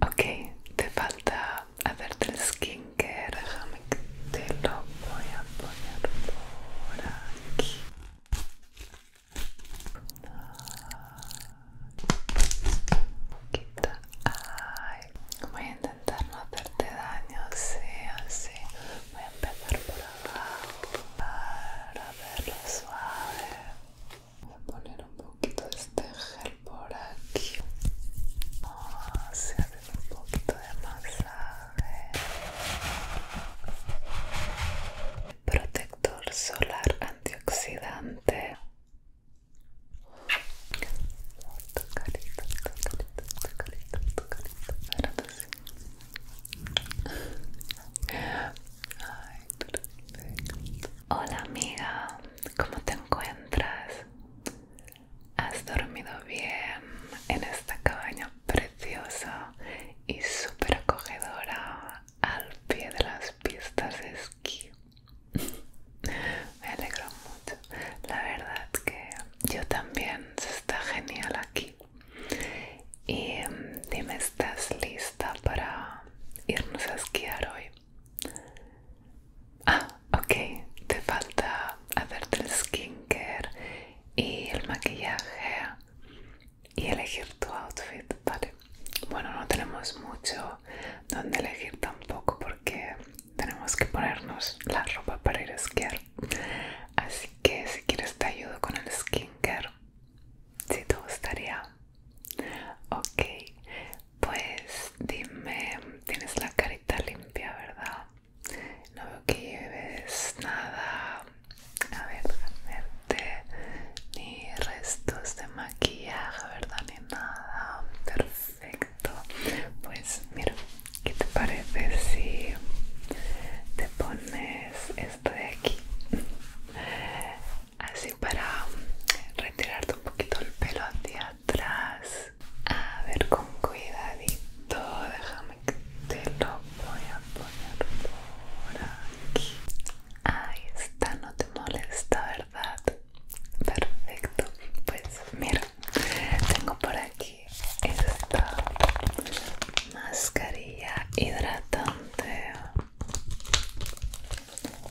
Ok, te falta hacerte el skincare. Déjame que te lo voy a poner por aquí. Ay, voy a intentar no hacerte daño, sí, así. Voy a empezar por abajo para verlo suave. Voy a poner un poquito de este gel por aquí. Ah, se se hace un poquito de masaje. Protector solar antioxidante. Tocadito, carita, tu tocadito, tu carita, tu carita. Ay, Hola amiga, ¿Cómo te encuentras? ¿Has dormido bien en esta cabaña preciosa y súper acogedora al pie de las pistas de esquí? Me alegro mucho. La verdad que yo también. Se está genial aquí. Y em, dime, ¿estás lista para irnos a esquiar hoy? Ah, ok, te falta hacerte el skincare y el maquillaje y elegir tu outfit, vale. Bueno, no tenemos mucho donde elegir tampoco porque tenemos que ponernos la ropa para ir a esquiar. Así que si quieres te ayudo con el skincare, si te gustaría. Ok, pues dime, tienes la carita limpia, ¿verdad? No veo que lleves nada. A ver, ni restos de maquillaje, ¿verdad? Ni nada. Perfecto. Pues mira, ¿qué te parece si te pones esto de aquí? Así para mm, retirarte un poquito el pelo hacia atrás. A ver, con cuidadito, déjame que te lo voy a poner por aquí. Ahí está, no te molesta, ¿verdad? Perfecto. Pues mira, tengo por aquí esta mascarilla hidratante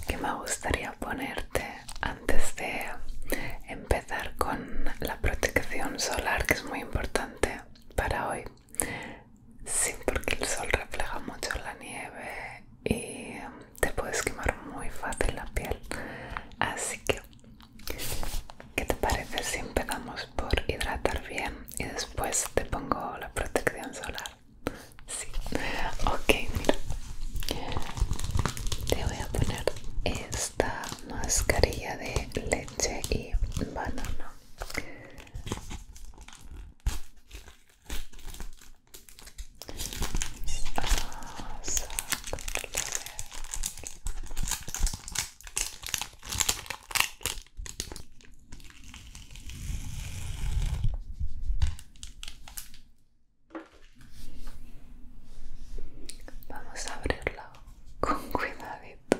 que me gustaría ponerte antes de empezar con la protección solar que es muy importante para hoy sí porque el sol refleja mucho la nieve y te puedes quemar muy fácil la piel así que ¿qué te parece si empezamos por hidratar bien y después te pongo la protección solar? Sí. Ok, mira. Te voy a poner esta mascarilla de leche y banana. Vamos a abrirla con cuidadito.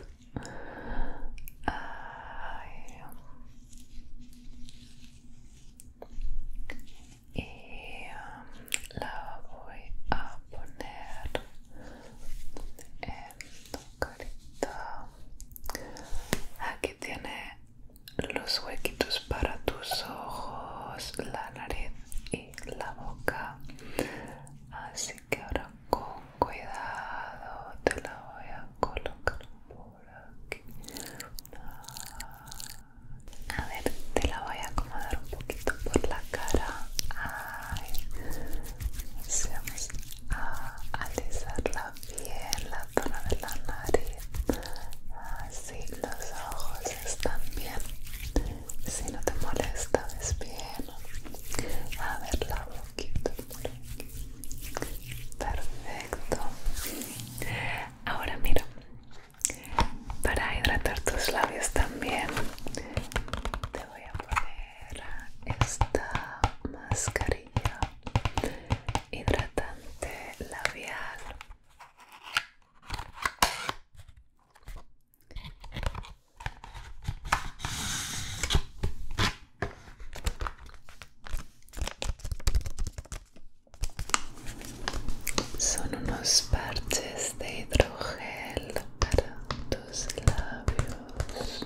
Y um, la voy a poner en tu carita. Aquí tiene los huequitos para tus ojos, la nariz y la boca. Así que ahora con cuidado te la voy a colocar por aquí. A ver, te la voy a acomodar un poquito por la cara. Ay, vamos a la bien, la zona de la nariz si los ojos están bien si no te molesta ves bien a ver la boquita por aquí perfecto ahora mira para hidratar tus labios también te voy a poner esta mascarilla hidratante labial son unos parches de hidrogel para tus labios.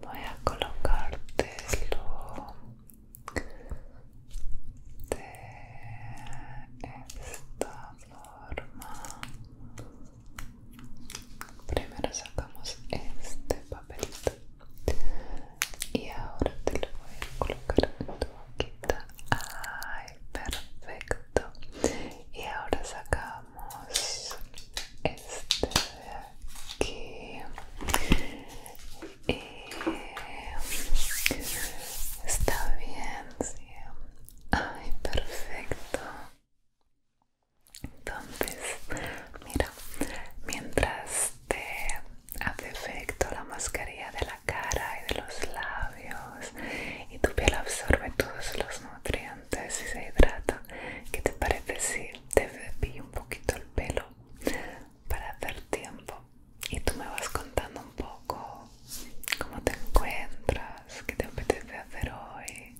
voy a colocártelo de esta forma primero sacamos este papelito y ahora te lo voy a colocar en tu boquita ay perfecto y ahora sacamos este de aquí y está bien, sí. Ay, perfecto. Entonces, mira, mientras te hace efecto la mascarilla de la cara y de los labios y tu piel absorbe todos los nutrientes entonces si se hidrata. ¿Qué te parece si te cepillo un poquito el pelo para hacer tiempo? Y tú me vas contando un poco cómo te encuentras, qué te apetece hacer hoy.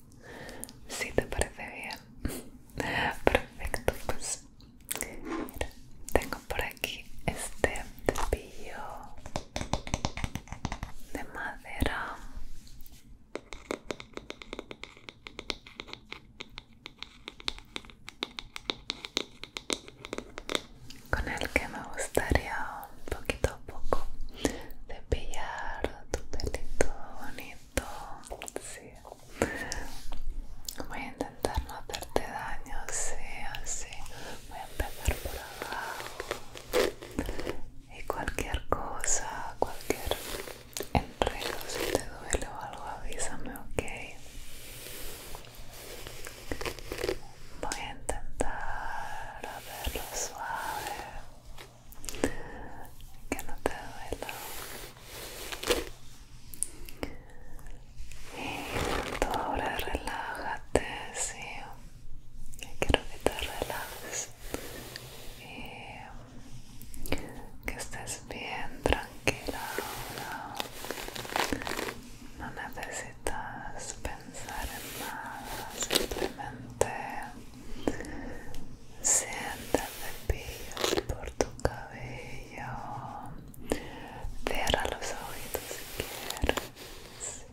Si ¿Sí te parece bien. Perfecto, pues mira, tengo por aquí este cepillo de madera con el que me gustaría un poquito a poco cepillar tu pelito bonito voy a intentar no hacerte daño sí, así voy a empezar por abajo y cualquier cosa, cualquier enredo, si te duele o algo, avísame, ok. Voy a intentar hacerlo suave, que no te duela. Y ahora relájate, sí. Quiero que te relajes que estés bien tranquila ahora. No necesitas pensar en nada, simplemente siente cepillos por tu cabello. Cierra los ojitos si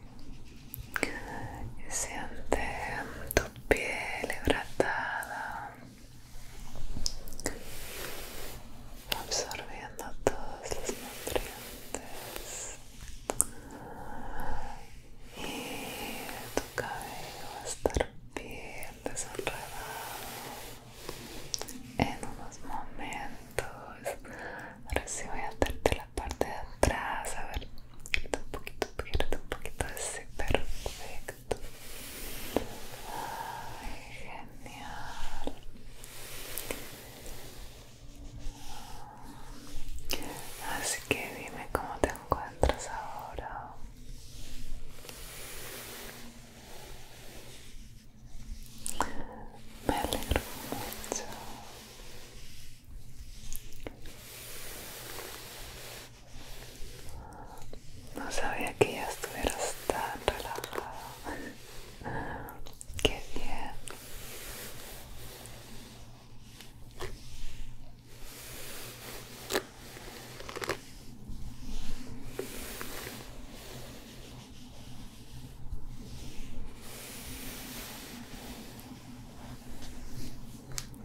quieres. Y siente tu piel hidratada absorbiendo todos los nutrientes y tu cabello va a estar bien desenredado en unos momentos ahora sí voy a hacerte la parte de atrás a ver poquito, un poquito, un poquito, de poquito perfecto. genial. Así que dime cómo te encuentras ahora. Me alegro mucho. No sabía que ya estuvieras tan relajado. Qué bien.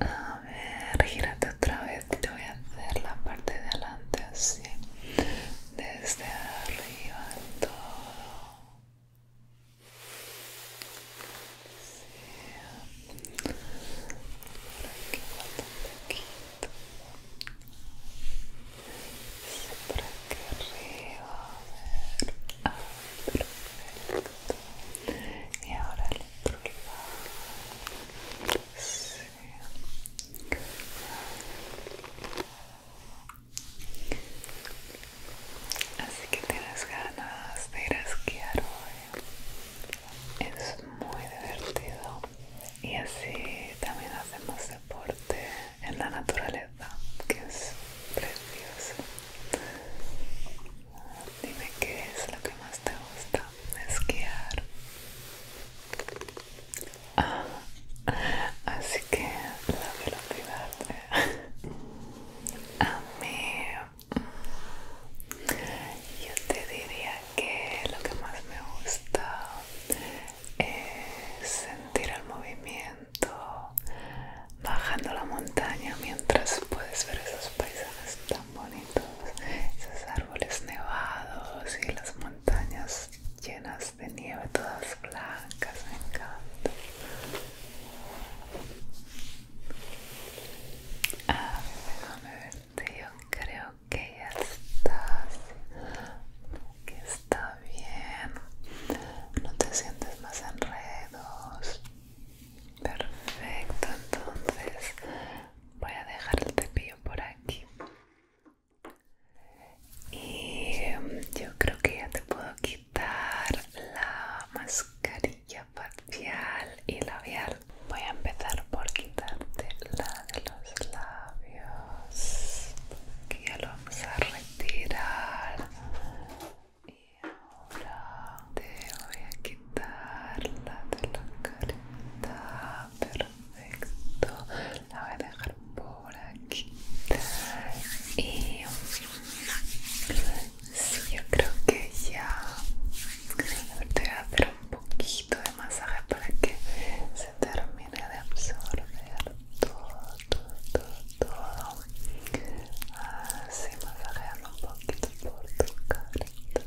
A ver, gírate otra vez. Te voy a hacer la parte de adelante así. Desde arriba todo. Sí. Por aquí falta un poquito. por aquí arriba. A ver. perfecto. Y ahora el Así que tienes ganas de ir a esquiar hoy. Es muy divertido y así también hacemos deporte en la naturaleza, que es precioso. Dime qué es lo que más te gusta esquiar. Ah, así que la velocidad. A mí, mm, yo te diría que lo que más me gusta es sentir el movimiento bajando la montaña mientras puedes ver esos paisajes bonitos esos árboles nevados y las montañas llenas de nieve todas blancas me encanta ah, déjame verte yo creo que ya estás que está bien no te sientes más enredos perfecto entonces voy a dejar el cepillo por aquí y em, yo creo que ya te puedo quitar la mascarilla facial y labial voy a empezar por quitarte la de los labios Aquí ya lo vamos a retirar ahora te voy a quitarla de la carita perfecto la voy a dejar por aquí y yo creo que ya te voy a hacer un poquito de masaje para que se termine de absorber todo, todo, todo, todo. Así masajeando un poquito por tu carita.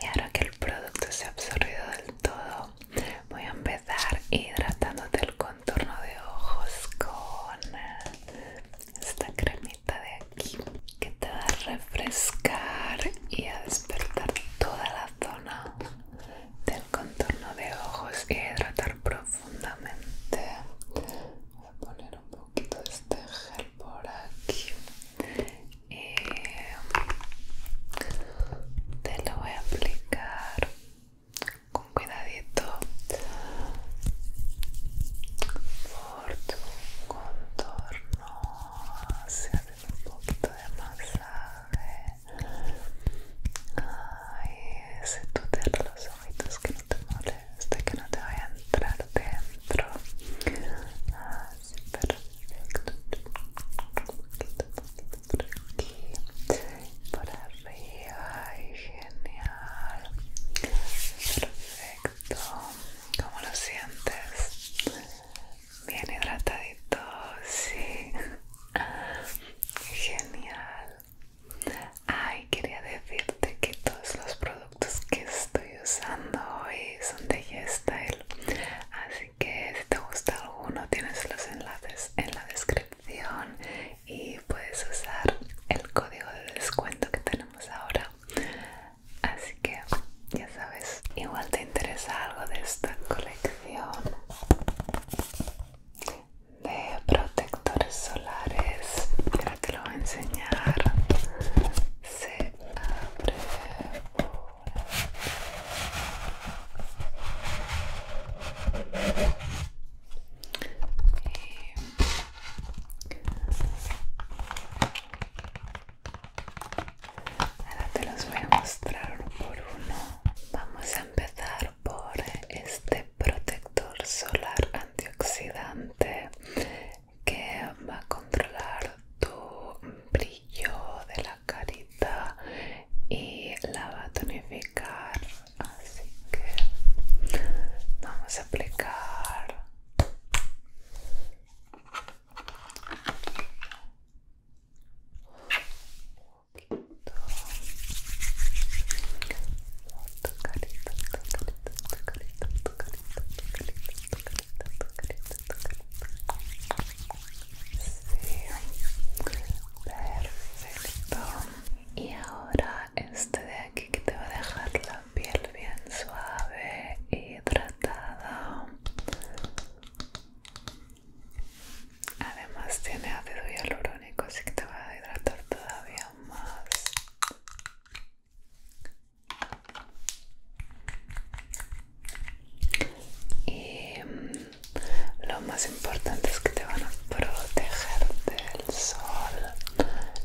Y ahora que el producto se ha absorbido del todo, voy a empezar hidratándote el contorno de ojos con esta cremita de aquí que te va a refrescar y a despertar toda la zona del contorno de ojos y a hidratar profundamente profundamente. Voy a poner un poquito de este gel por aquí y te lo voy a aplicar con cuidadito por tu contorno hacia un poquito de masaje ay, si tú los ojitos que no te moleste, que no te vaya a entrar dentro. Así, perfecto. Un poquito, un poquito por aquí, por arriba. Ay, genial. Perfecto. ¿Cómo lo sientes? Bien hidratadito, sí. Genial. Ay, quería decirte que todos los productos que estoy usando hoy son de YesStyle. Así que si te gusta alguno, tienes los enlaces en la descripción y puedes usar el código de descuento que tenemos ahora. Así que ya sabes, igual te interesa algo de esta colección de protectores solares. ahora te lo voy a enseñar. Se abre ahora te los voy a mostrar por uno. Vamos a empezar por este protector solar antioxidante que va a controlar tu brillo de la carita y la va a tonificar así que vamos a aplicar un Tocalito, tocalito, tu carita, tu carita, tu tocalito. tu carita, tu carita, Sí, perfecto. Y ahora este de aquí que te va a dejar la piel bien suave y hidratada. Además tiene ácido hialurónico, así que te va a hidratar todavía más. Y mm, lo más importante es que te van a proteger del sol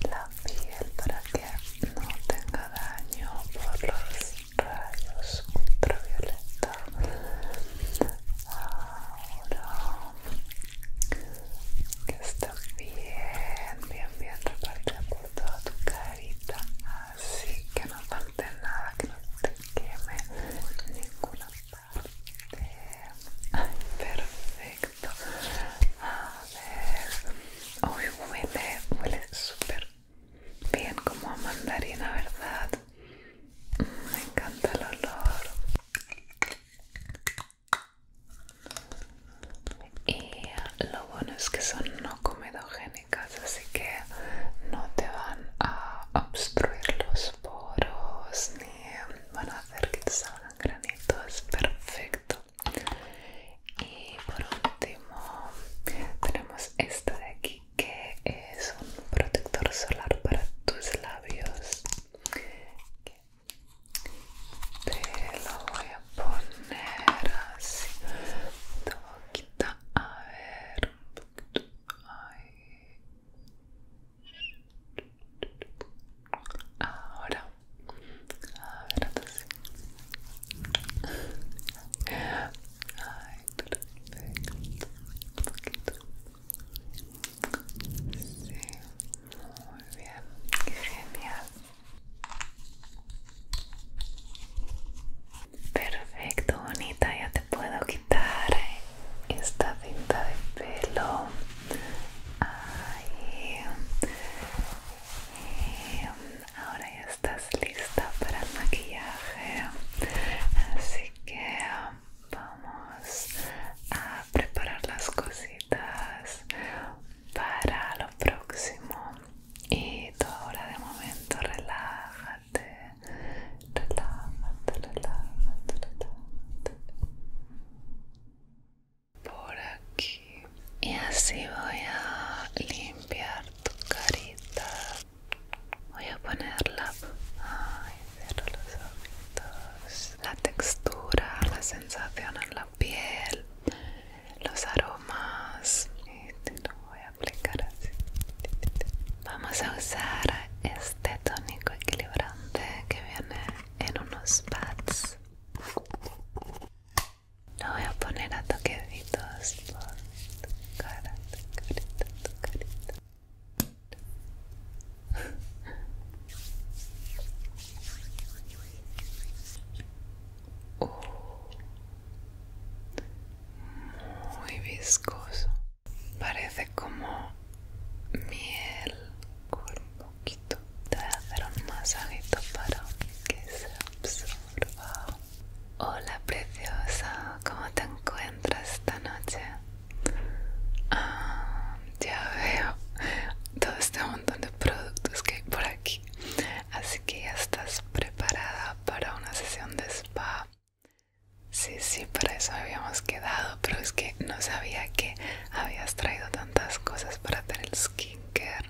la piel para que no tenga daño por los rayos ultravioleta. Ahora que está bien, bien, bien parte por toda tu carita, así que no falte nada, que no te queme ninguna parte. Ay, perfecto. A ver, hoy huele, huele súper bien como a mandarina, ¿verdad? Mm, me encanta el olor y lo bueno es que son no comedogénicas así que no te van a obstruir los poros ni van a hacer que te salgan granitos perfecto y por último tenemos esta de aquí que es un protector solar para tus labios te lo voy a poner así toquita, boquita a ver un poquito ahí ahora a ver así ay perfecto un poquito Sí, muy bien, genial. Perfecto, bonita, ya te puedo quitar esta cinta de pelo. Eh, ahora ya estás lista para el maquillaje. Así que vamos a preparar las cositas para lo próximo y tú ahora de momento relájate relájate relájate relájate por aquí y así voy a limpiar tu carita voy a ponerla ay cierro los ojitos la textura la sensación en la piel, los aromas. Este lo voy a aplicar así. Vamos a usar este tónico equilibrante que viene en unos pads. Lo voy a poner a toquecitos por tu cara, tu carita, tu carita muy viscoso. Parece como miel con un poquito. Te voy a hacer un masajito para que se absorba. Hola preciosa, ¿cómo te encuentras esta noche? Ah, ya veo todo este montón de productos que hay por aquí así que ya estás preparada para una sesión de spa sí sí para eso habíamos quedado pero es que no sabía que habías traído tantas cosas para hacer el skincare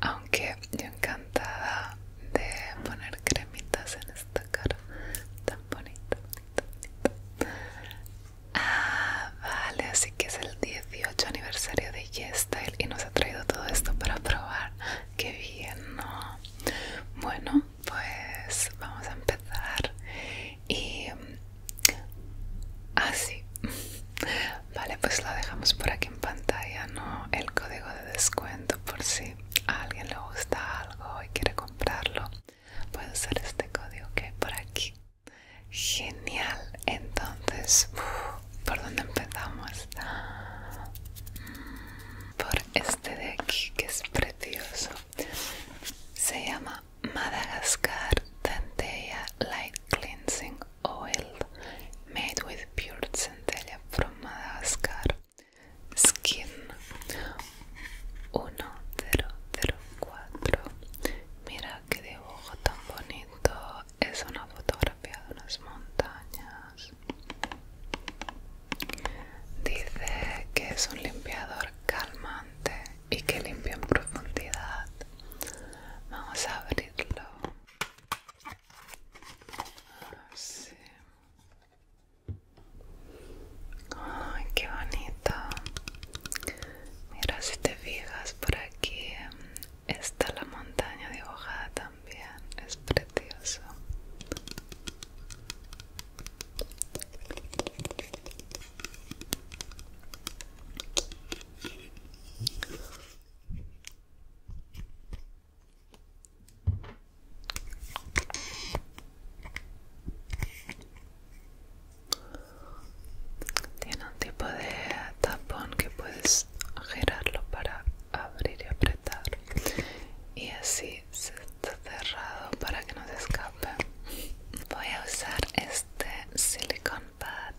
aunque yo encantada de poner cremitas en esta cara tan bonita, bonita, bonita. Ah, vale, así que es el 18 aniversario de YesStyle y nos ha traído todo esto para probar. Qué bien, Bueno, pues vamos a empezar. Y. Ah, sí. Vale, pues lo dejamos por aquí en pantalla, ¿no? El código de descuento por si a alguien le gusta algo y quiere comprarlo. Puede usar este código que hay por aquí. Genial, entonces, ¿por dónde empezamos? Por este de aquí que es precioso. Se llama Madagascar Centella Light Cleansing Oil Made with Pure Centella from Madagascar Skin 1004. Mira qué dibujo tan bonito es una fotografía de unas montañas. Dice que es un limpiador calmante y que limpia en profundidad. Vamos a abrirlo. Ay, qué bonito. Mira si te fijas por aquí está la montaña dibujada también, es precioso. Tiene un tipo de tapón que puedes girarlo para abrir y apretar y así se está cerrado para que no se escape. Voy a usar este silicon pad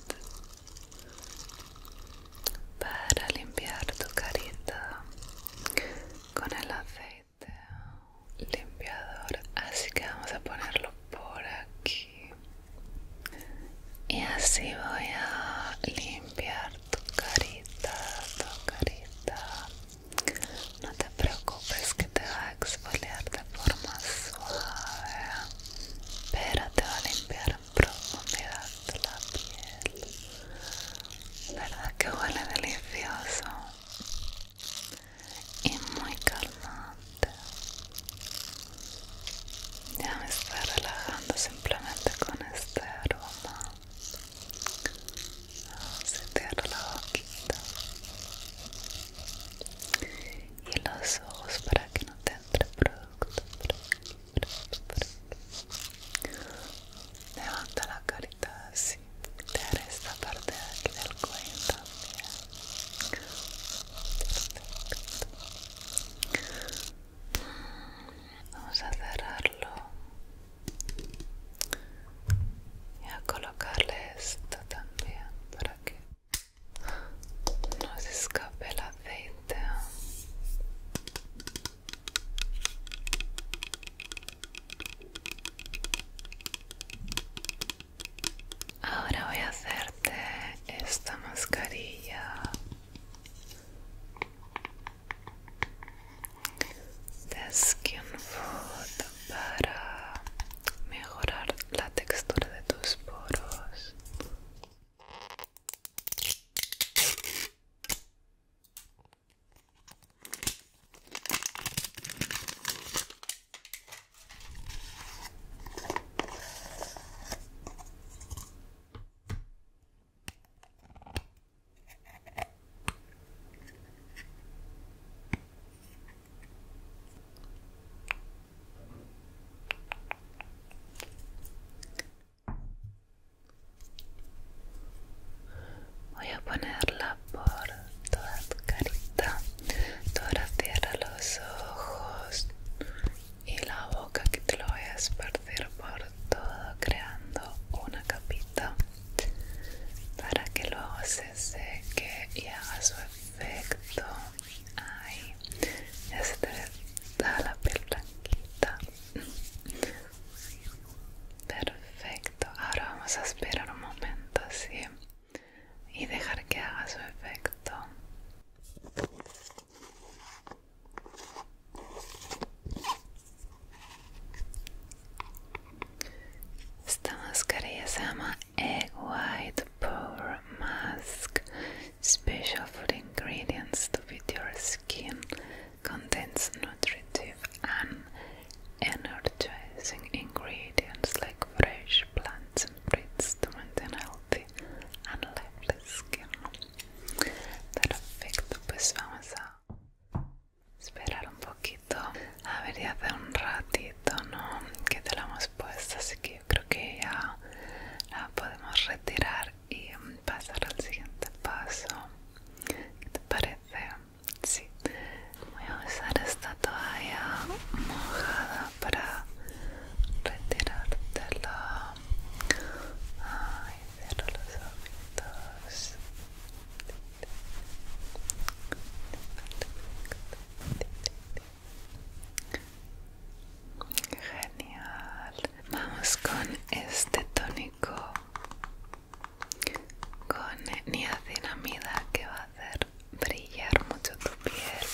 para limpiar tu carita con el aceite limpiador. Así que vamos a ponerlo por aquí y así voy a limpiar tu carita tu carita no te preocupes que te va a exfoliar de forma suave pero te va a limpiar en profundidad la piel verdad que huele delicioso y muy calmado ya me estoy relajando simplemente con este aroma ah, se cierra la boquita y los ojos para que no te entre producto levanta la carita así te haré esta parte de aquí del cuello también Vamos a cerrarlo y a colocarle esto también para que no se escape el aceite. Ahora voy a hacerte esta mascarilla de Skin Food para mejorar la textura de tus poros. Voy a ponerla por toda tu carita, toda la tierra, los ojos, y la boca que te lo voy a esparcir por todo creando una capita para que luego se seque y haga su efecto ahí, ya se te la piel blanquita perfecto ahora vamos a esperar un momento así y dejar que haga su efecto Stanskarja sama egg white pore mask, special food ingredients to fit your skin, contains nutritive and energizing ingredients like fresh plants and Breeds to maintain healthy and light skin. Perfecto, pues vamos a esperar un poquito. A ver, ya hace un ratito, ¿no? Que te la hemos puesto, así que yo creo que ya la podemos retirar y pasar al siguiente paso. te parece? Sí. Voy a usar esta toalla mojada para retirártelo los ojitos. Genial. Vamos con este tónico con niacinamida que va a hacer brillar mucho tu piel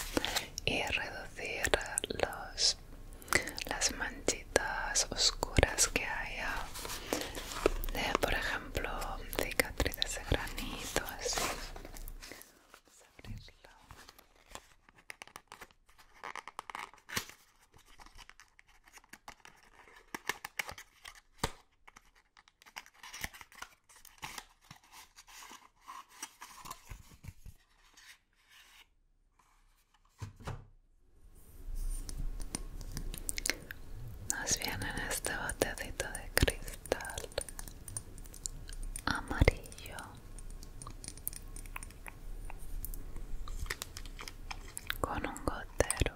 y reducir los las, manchitas oscuras que haya de, por ejemplo, cicatrices de granito, nos viene en este botecito de cristal amarillo con un gotero.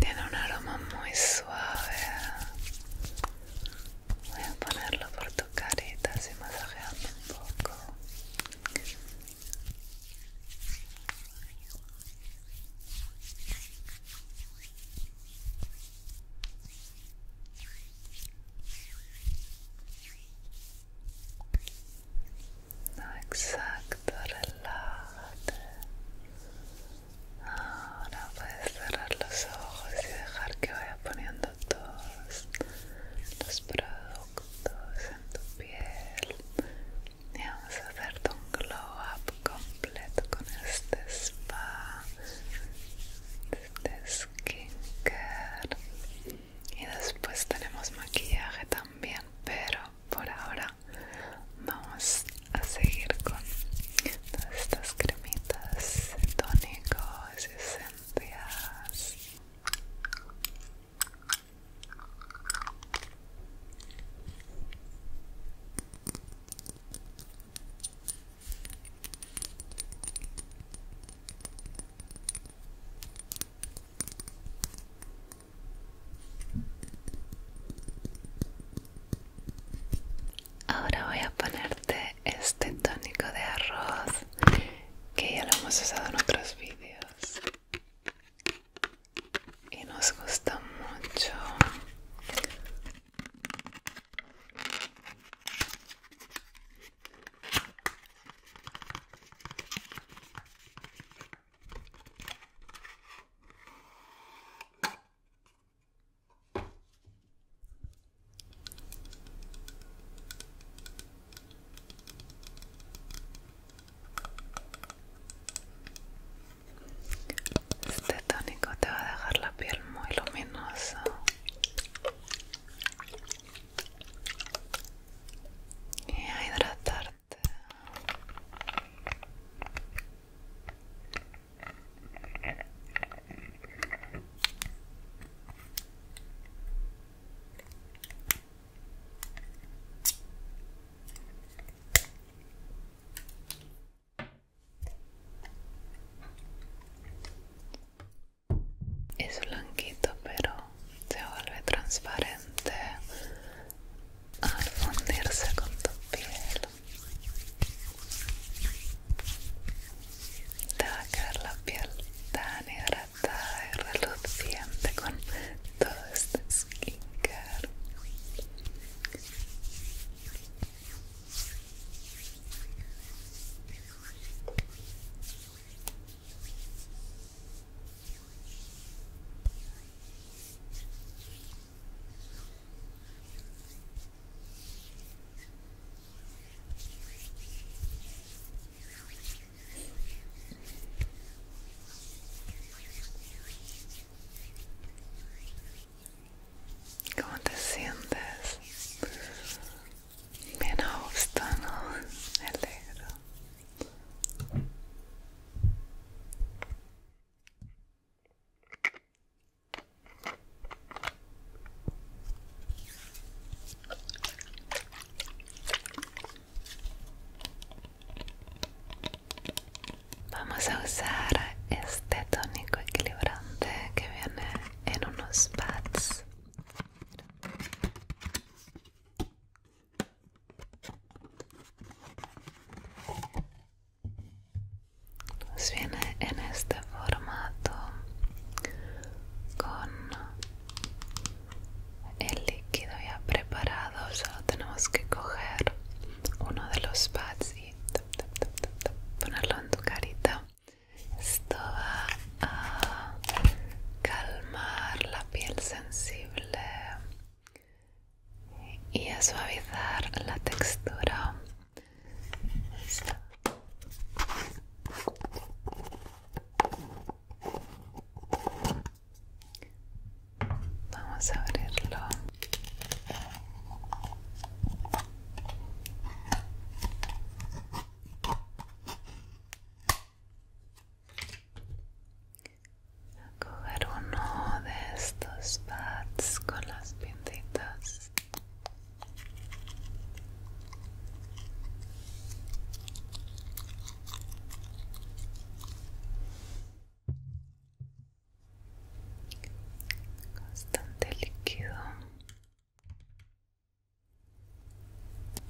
Tiene un aroma muy suave. Voy a ponerlo por tu carita, así masajeando un poco. No, exacto, relájate. Ahora puedes cerrar los ojos y dejar que vaya poniendo todos los productos en tu piel y vamos a hacerte un glow up completo con este spa este skincare y después tenemos maquillaje también pero por ahora vamos a seguir con todas estas cremitas tónicos y esencias Ahora voy a ponerte este tónico de arroz que ya lo hemos usado en otros vídeos y nos gusta mucho este tónico te va a dejar la piel muy luminosa y a hidratarte. Es blanquito, pero se vuelve transparente al fundirse con tu piel. Te va a caer la piel tan negra está reluciente con todo este skincare. ¿Cómo te sientes? Bien a gusto, ¿no? Me alegro. Vamos a usar este tónico equilibrante que viene en unos pads. nos viene en este formato con el líquido ya preparado solo tenemos que coger uno de los pads y ponerlo en tu carita esto va a calmar la piel sensible y a suavizar la textura Vamos a abrirlo. coger uno de estos pads con las pintitas bastante líquido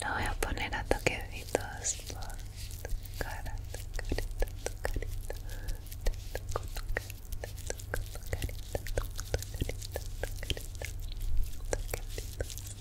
lo voy a poner a toquecitos por tu cara, tu carita, tu carita te toco tu carita, toco tu carita, tu carita, tu carita toquecito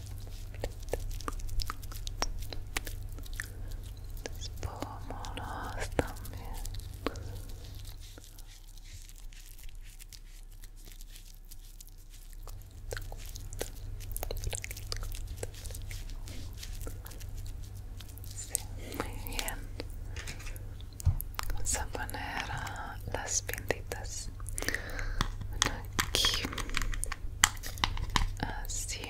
espumosos también muy bien vamos a poner las pintitas aquí así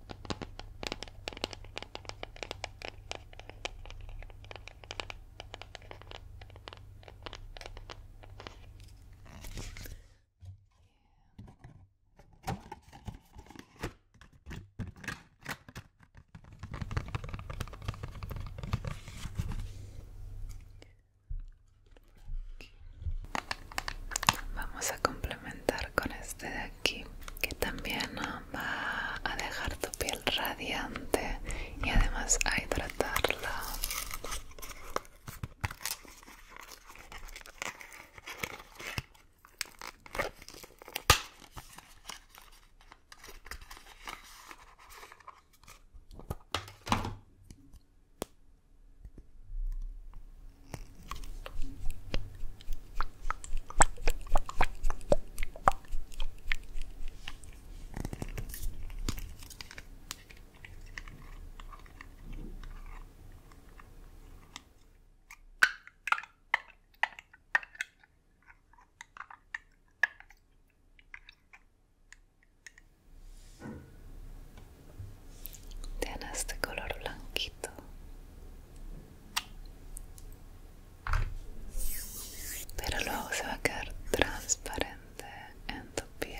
Vamos a complementar con este de aquí que también ah, va a dejar tu piel radiante y además a hidratarla tiene este color blanquito pero luego se va a quedar transparente en tu piel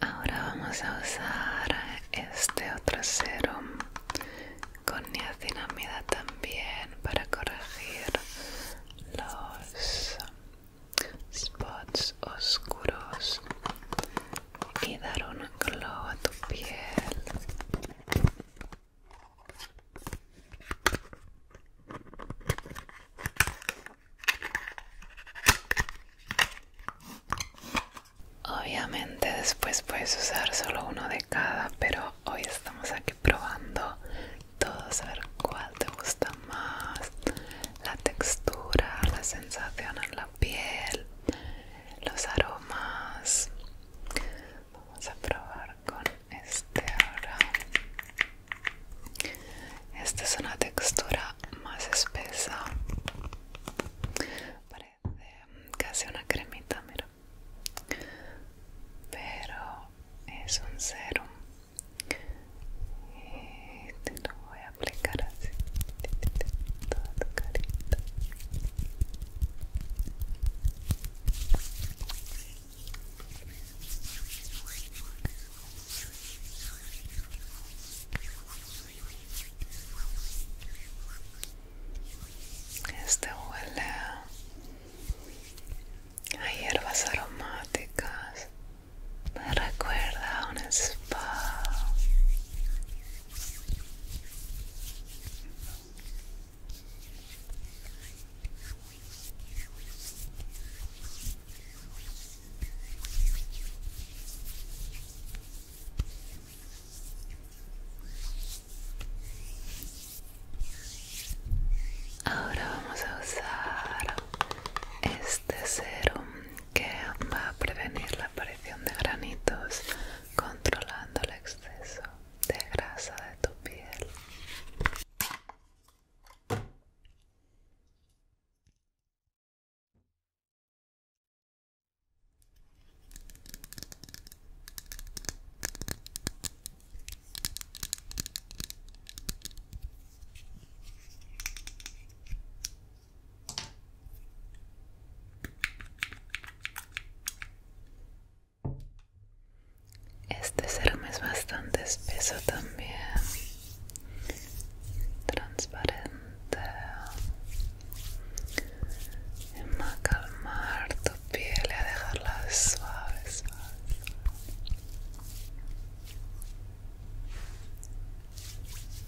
Ahora vamos a usar este otro serum con niacinamida también para corregir los spots oscuros y dar un glow a tu piel. Obviamente después puedes usar solo uno de cada, pero hoy estamos aquí probando todos a ver cuál te gusta más, la textura, la sensación en la piel, los aromas. Vamos a probar con este ahora. Esta es una textura más espesa. Parece casi una cremita, mira. Pero es un serum. Y te lo voy a aplicar así este huele a hierbas aromáticas me recuerda a un spa Ahora vamos a usar este serum que va a prevenir la aparición de granitos controlando el exceso de grasa de tu piel. Este serum es bastante espeso también, transparente. Va a calmar tu piel y a dejarla suave,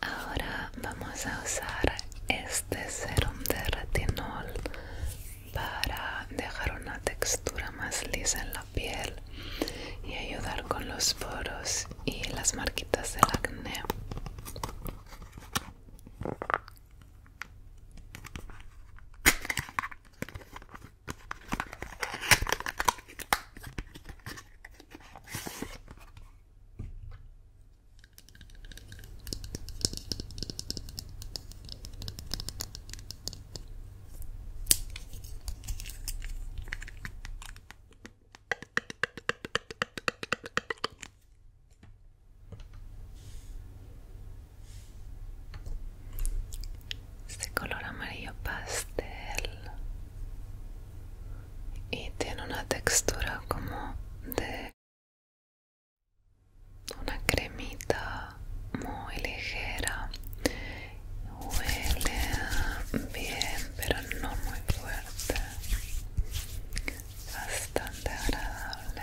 Ahora vamos a usar este serum de retinol para dejar una textura más lisa en la piel y ayudar con los poros y las marquitas del acné este color amarillo pastel y tiene una textura como de una cremita muy ligera huele bien pero no muy fuerte bastante agradable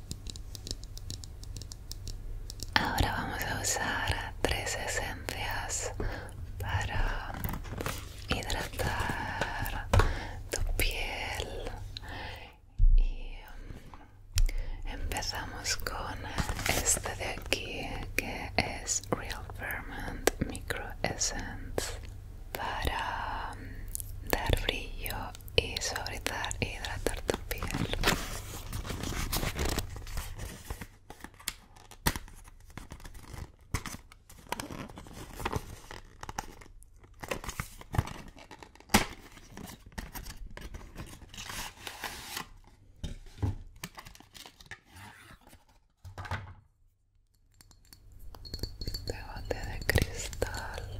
Ahora vamos a usar tres esencias para hidratar tu piel y um, empezamos con este de aquí que es Real Ferment Micro Essence para um, dar brillo y suavizar hidratar tu piel. Pegote de cristal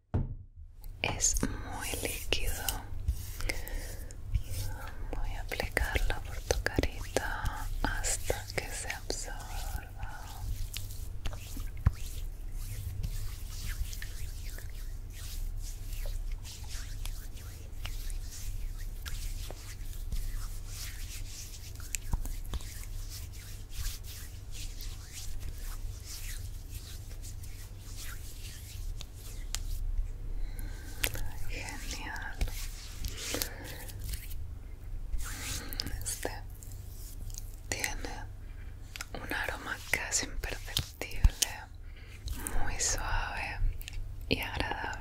es muy líquido voy a aplicarla por tu carita hasta que se absorba Genial. Este tiene un aroma casi imperceptible, muy suave y agradable.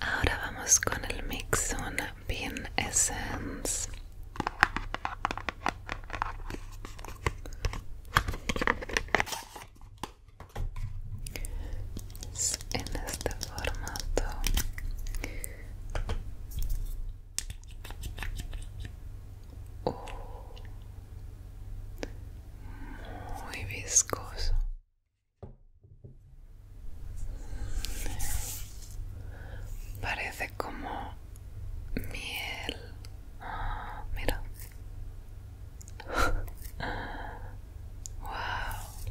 Ahora vamos con el Mixon Bean Essence. En este formato muy viscoso. Parece como miel. Ah, mira. wow.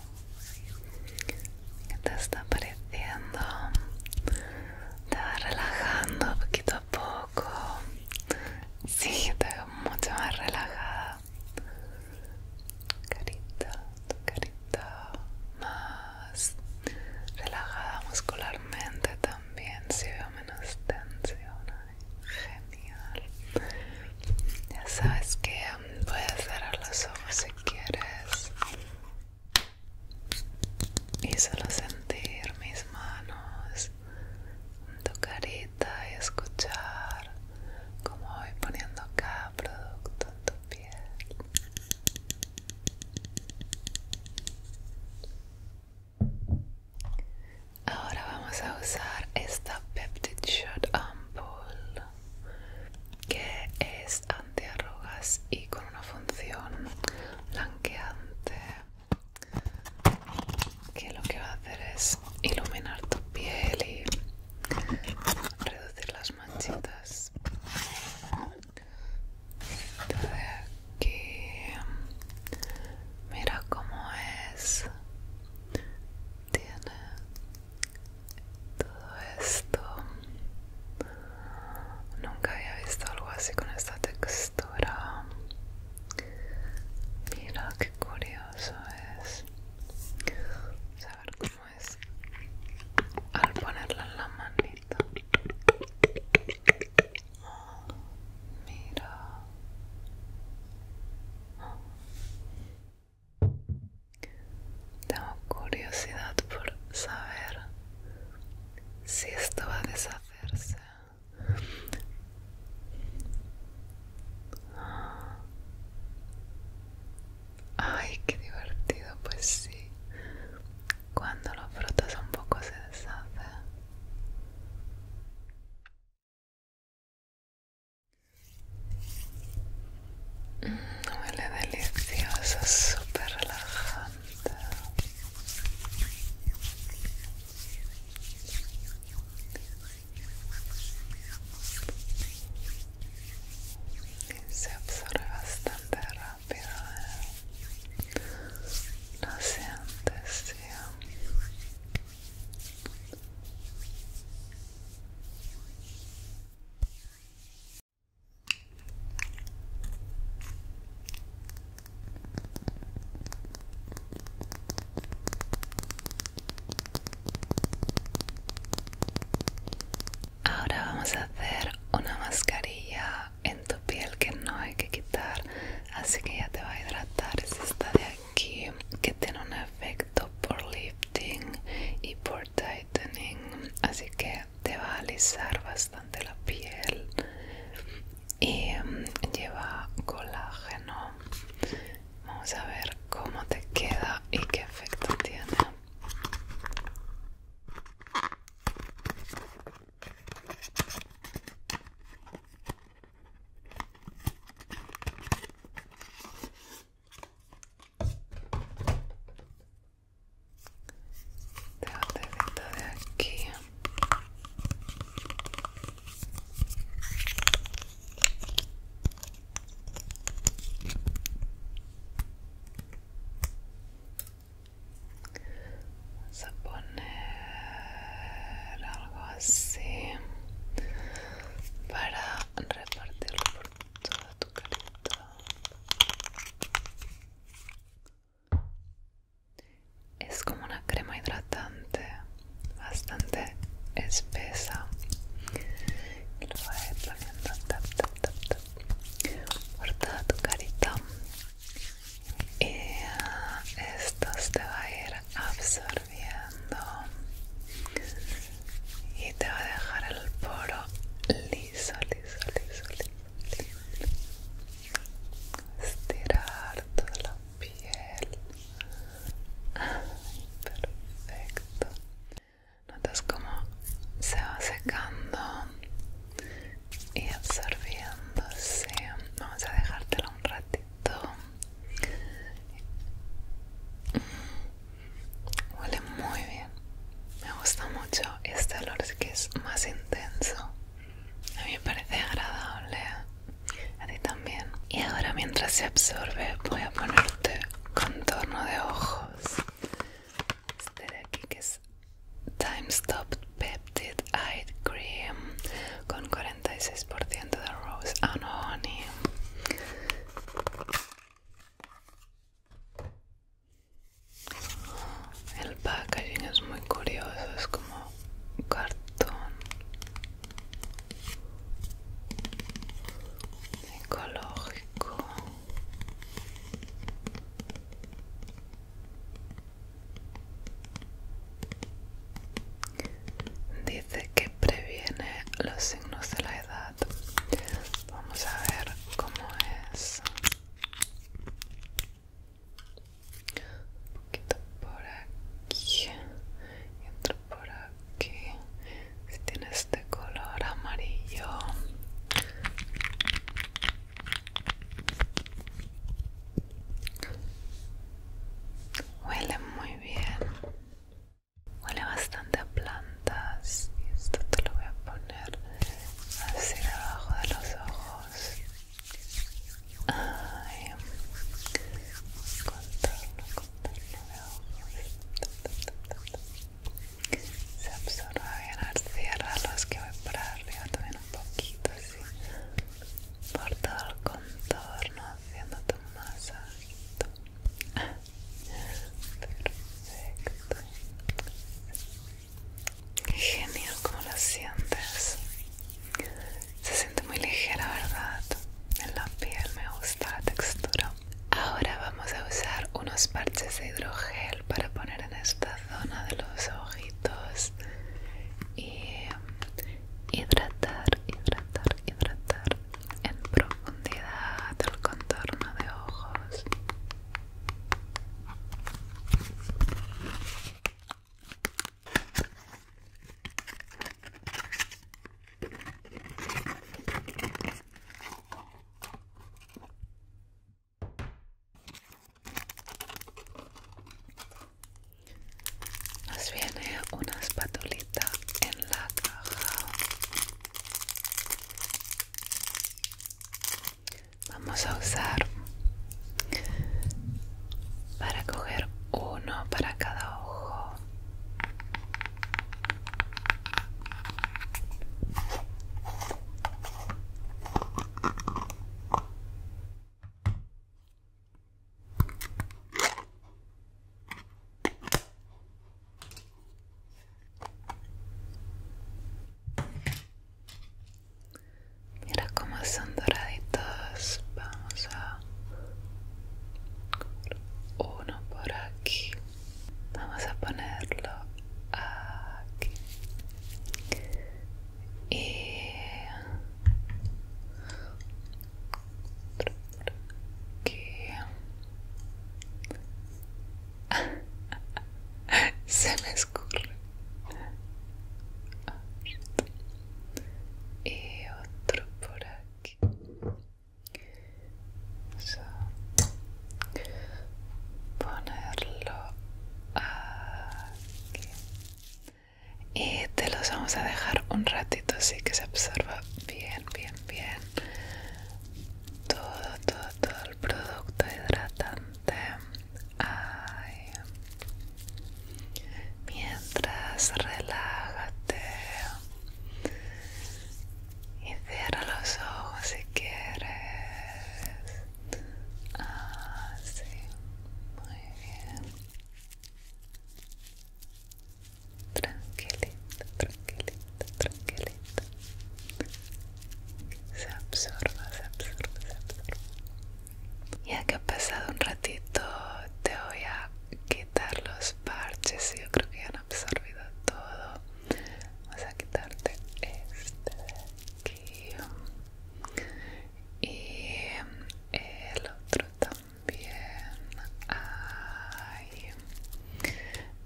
¿Qué te está pareciendo te va relajando poquito a poco sí te veo mucho más relajada carita tu carita más relajada muscularmente también si veo menos tensión genial ya sabes que puedes cerrar los ojos si quieres y solo sentir mis manos en tu carita y escuchar cómo voy poniendo cada producto en tu piel. Ahora vamos a usar esta Peptide Shot Ampoule que es anti antiarrugas y con una función blanqueante que lo que va a hacer es iluminar tu piel y reducir las manchitas aquí mira cómo es tiene todo esto nunca había visto algo así con esta textura mira qué curioso es a ver cómo es al ponerla en la manita mira tengo curiosidad por saber si esto va a deshacerse. Ay, qué divertido, pues sí. Cuando los frutos un poco se deshace. Huele delicioso, super relajante. Y se absorbe bastante rápido. ¿eh? Lo sientes, sí. Ahora vamos a hacer una mascarilla en tu piel que no hay que quitar, así que ya te va a hidratar. esta de aquí que tiene un efecto por lifting y por tightening, así que te va a alisar bastante la piel y mm, lleva colágeno vamos a ver cómo te queda y qué efecto tiene de de aquí Vamos a poner algo así para repartirlo por toda tu carita. Es como una crema hidratante bastante espesa. lo voy a ir poniendo tap, tap, por toda tu carita. Y esto te va a ir absorbiendo y te va a dejar el poro liso, liso, liso, liso estirar toda la piel perfecto notas cómo se va secando y absorbiéndose vamos a dejártelo un ratito mm, huele muy bien me gusta mucho este olor sí que es más intenso. A mí me parece agradable. A ti también. Y ahora mientras se absorbe voy a ponerte contorno de ojos. Este de aquí que es Time Stop Peptide Eye Cream con 46% de Rose and el packaging es muy curioso, es como cartón ecológico. Dice que previene los signos de la edad. Vamos a ver cómo es un poquito por aquí y otro por aquí si tiene este color amarillo huele muy bien huele bastante a plantas y esto te lo voy a poner así, debajo de los ojos. Ay, contorno, contorno de ojos. Se absorbe bien, al los que voy para arriba también un poquito así. Por todo el contorno, haciendo tu masaje. Perfecto. Genial, como lo sientes? Se siente muy ligera, ¿verdad? En la piel me gusta la textura. Ahora vamos a usar unos parches de hidrogel para poner en esta zona de los ojitos y eh, hidratar, hidratar, hidratar en profundidad el contorno de ojos. Nos viene una espatulita en la caja vamos a usar para coger uno para cada ojo Mira cómo son doraditos. Vamos a uno por aquí. Vamos a ponerlo aquí. Y se me y otro por aquí ponerlo aquí y te los vamos a dejar un ratito así que se absorba bien bien bien todo todo todo el producto hidratante Mientras relájate y cierra los ojos si quieres. así, ah, Muy bien. tranquilito, tranquilito, tranquilito se absorbe, se absorbe, se absorba. Ya que ha pasado un ratito, te voy a quitar los parches. Yo creo que ya han absorbido todo. Vamos a quitarte este de aquí y el otro también.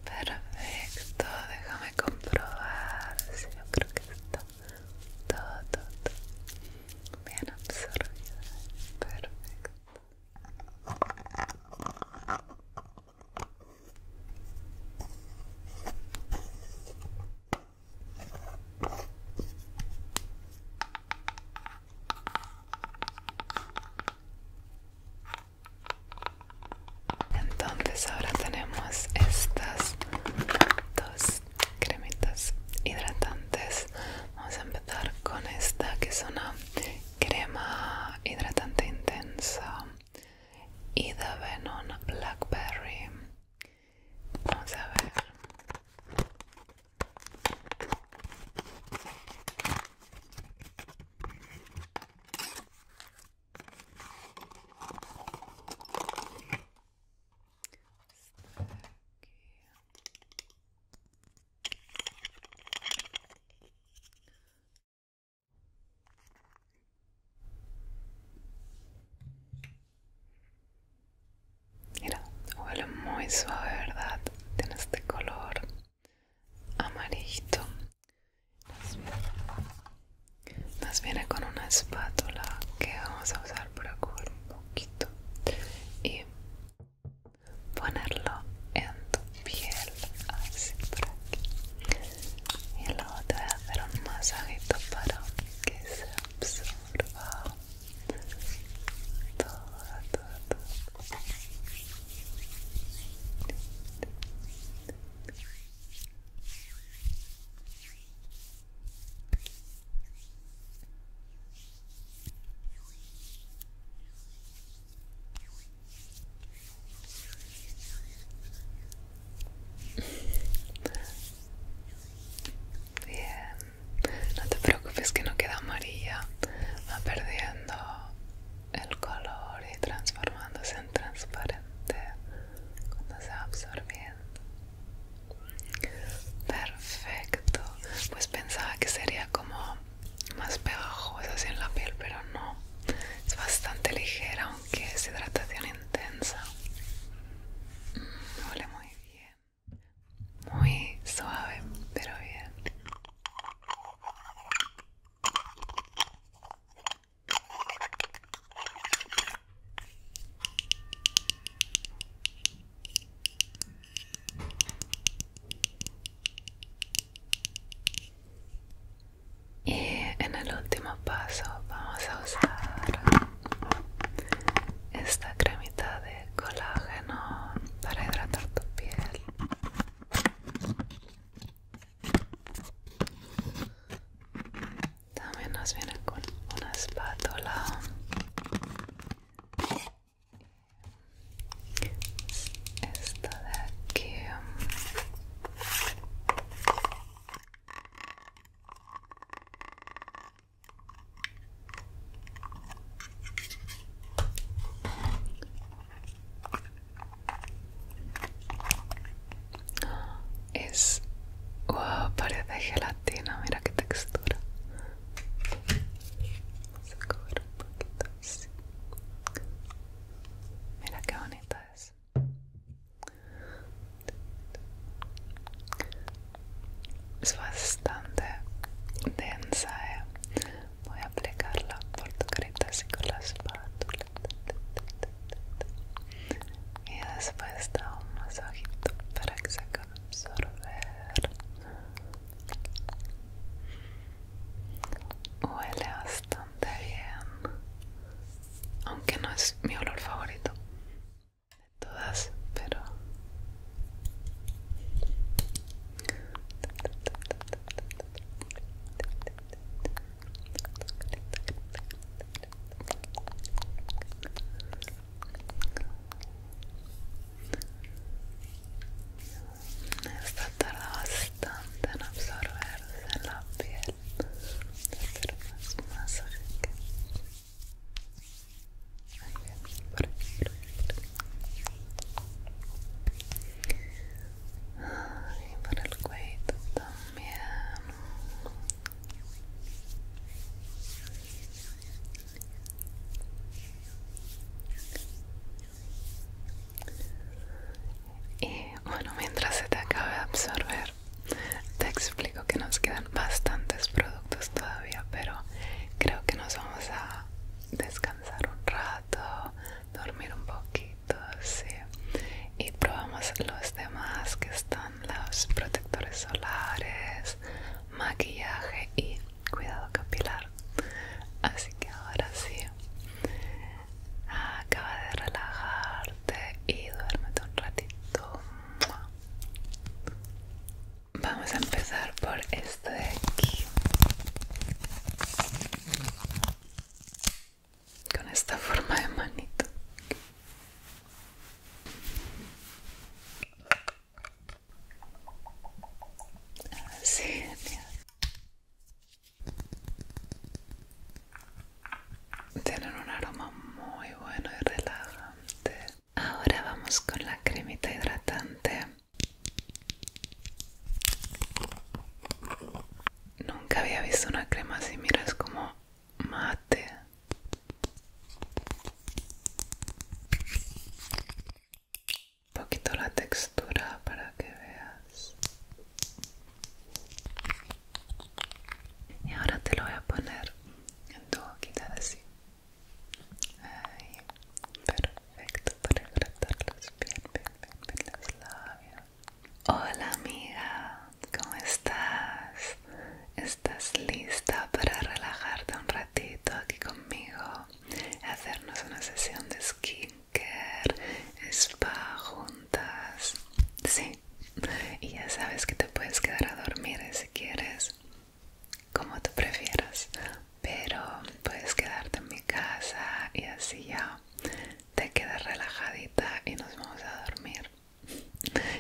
perfecto. Déjame comprobar. si yo creo que está todo, todo bien absorbido, perfecto. Entonces ahora tenemos estas dos cremitas hidratantes vamos a empezar con esta que es una crema hidratante intensa y de Venom Blackberry vamos a ver Mira, huele muy suave, ¿verdad? Tiene este color amarillito. Nos viene con una espátula que vamos a usar para cubrir un poquito y ponerlo en tu piel, así por aquí. Y luego te voy a hacer un masajito para que se absorba todo, todo, todo. Bien, no te preocupes que no queda amarilla, va perdiendo el color y transformándose en transparente cuando se va absorbiendo. Perfecto. Pues pensaba que sería como más pegajoso en la piel, pero no. Es bastante ligera, aunque es hidratación intensa. Mm, huele muy bien. Muy suave, pero bien. Y en el último paso vamos a usar esta cremita de colágeno para hidratar tu piel. También nos viene con una espátula. Esto de aquí. Es. ¡Wow! de gelatina, mira qué textura. Vamos a un poquito así. Mira qué bonita es. Es bastante densa, eh. Voy a aplicarla por tu carita así con la espátula y después da un masajito para que se acabe absorber huele bastante bien aunque no es mi olor favorito de todas pero esta tarda bastante en absorberse en la piel, pero más masaje que... Por por para el cuello también y bueno, mientras se te acabe de absorber, te explico que nos quedan bastantes productos todavía, pero creo que nos vamos a descansar un rato, dormir un poquito, sí. Y probamos los demás que están los protectores solares, maquillaje y cuidado capilar. Así que ahora sí, acaba de relajarte y duérmete un ratito. Vamos a empezar por esto de aquí. Con esta forma de manito. Así, tienen un aroma muy bueno y relajante. Ahora vamos con la cremita hidratante. Nunca había visto una crema así, miras es como mate. Un poquito la textura para que veas. Y ahora te lo voy a poner en tu boquita así. Ahí. Perfecto para hidratarlos bien, bien, bien, bien Hola amiga, ¿cómo estás? estás lista para relajarte un ratito aquí conmigo, hacernos una sesión de skincare, spa juntas. Sí, y ya sabes que te puedes quedar a dormir si quieres, como tú prefieras, pero puedes quedarte en mi casa y así ya te quedas relajadita y nos vamos a dormir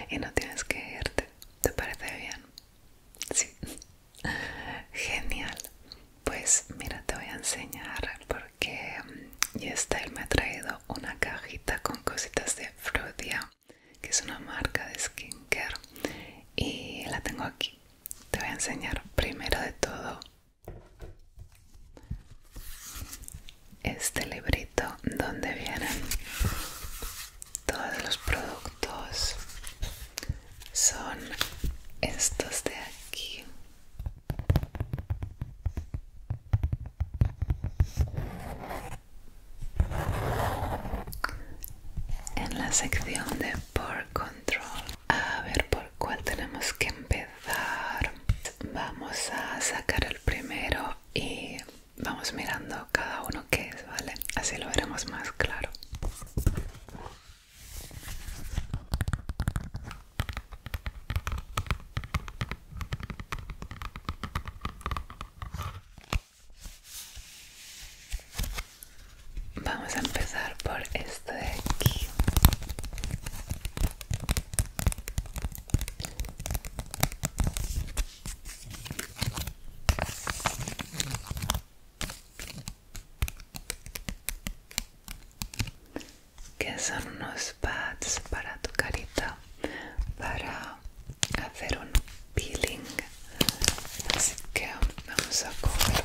y no tienes que irte. ¿Te parece bien? Sí. Genial. Pues mira, te voy a enseñar porque mm, YesStyle me ha traído una cajita con cositas de Frudia, que es una marca de skincare, y la tengo aquí. Te voy a enseñar primero de todo este librito donde vienen todos los productos son estos de aquí en la sección de por control a ver por cuál tenemos que empezar vamos a sacar el primero y vamos mirando cada uno que es, ¿vale? Así lo veremos más claro. Vamos a empezar por este de aquí que son unos pads para tu carita para hacer un peeling así que vamos a coger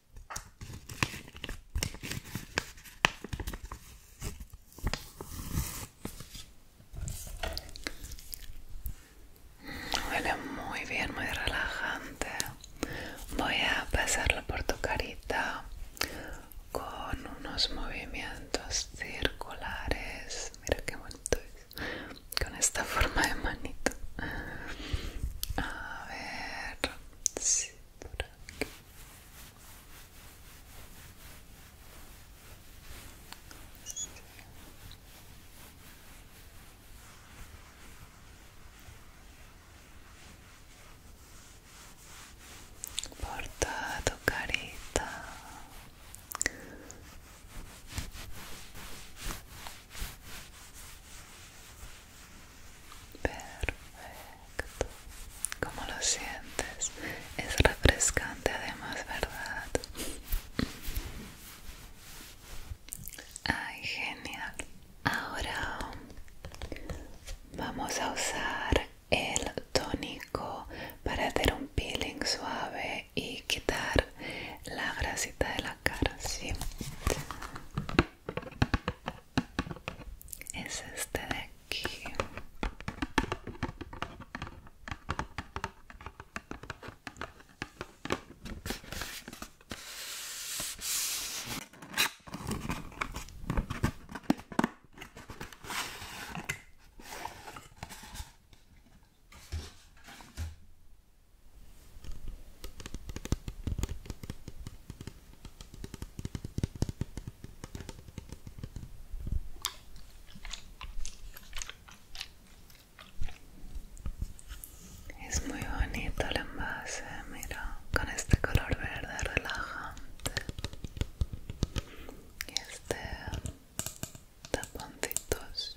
Huele muy bien, muy relajante. Voy a pasarlo por tu carita con unos movimientos circulares. Mira qué bonito es. Con esta forma de manito. A ver. Sí por aquí sí. por toda tu carita Perfecto. ¿Cómo lo sientes? Es refrescante además, ¿verdad? Ay, genial. Ahora vamos a usar el tónico para hacer un peeling suave y quitar la grasita de la cara, ¿sí? es este de aquí es muy bonito el envase, mira, con este color verde relajante y este taponcitos.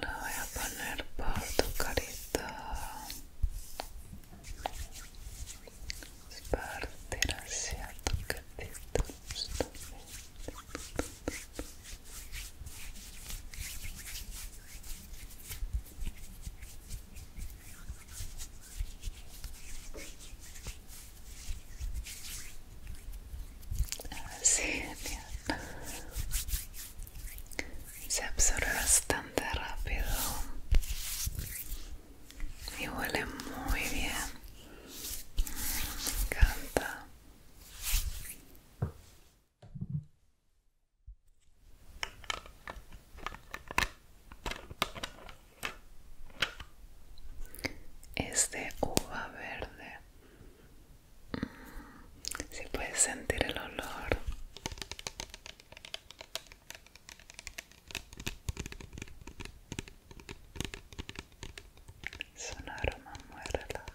La voy a poner por tu carita. Partir así tu carita. Así, genial se absorbe bastante rápido y huele muy bien me encanta es de uva verde si puede puedes sentir el olor. Es un aroma muy relajante.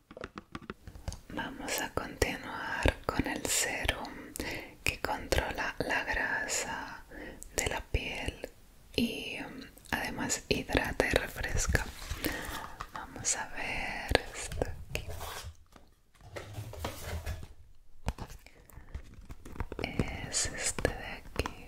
Vamos a continuar con el serum que controla la grasa de la piel y um, además hidrata y refresca. Vamos a ver Es este de aquí.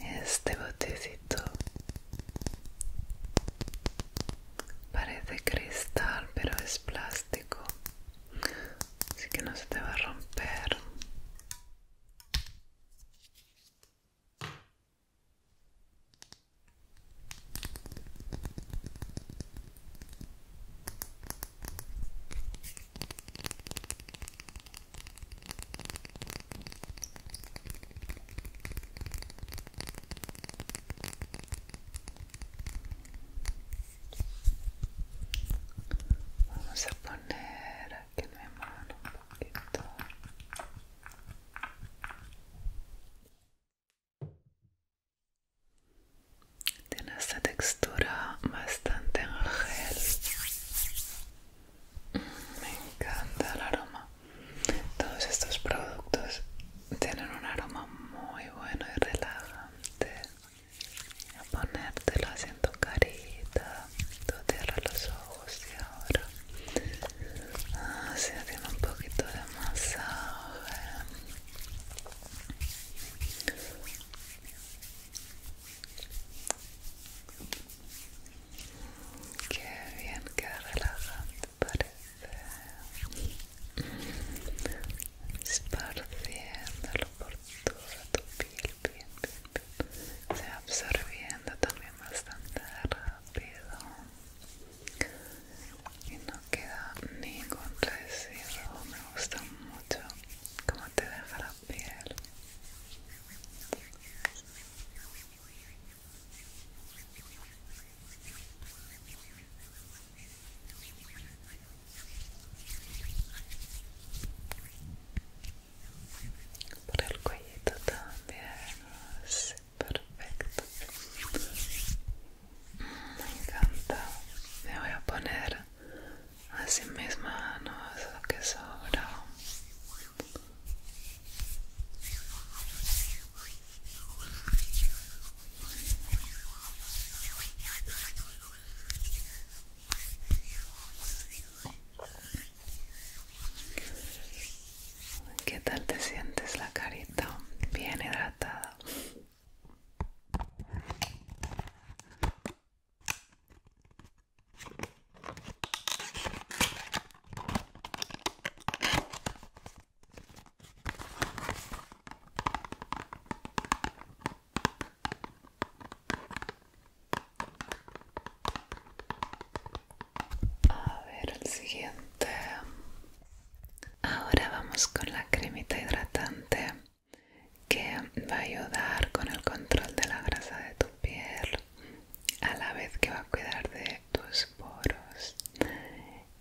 Este botecito parece cristal, pero es plástico, así que no se te va a romper. Vamos a poner que en mi mano un poquito tiene esta textura bastante en gel mm, me encanta el aroma todos estos productos tienen un aroma muy bueno y relajante a ponértelo así en tu carita tú cierras los ojos y ahora así ah, hace un poquito de masaje Qué bien, qué relajante parece. Esparciéndolo por toda tu piel, Se absorbiendo también bastante rápido. Y no queda ningún residuo. Me gusta mucho como te deja la piel. Por el cuellito también, sí, perfecto. Me encanta. Me voy a poner así mis manos lo que sobra ¿Qué tal te sientes la carita? Bien hidratada. A ver, el siguiente. Ahora vamos con la cremita hidratante que va a ayudar con el control de la grasa de tu piel a la vez que va a cuidar de tus poros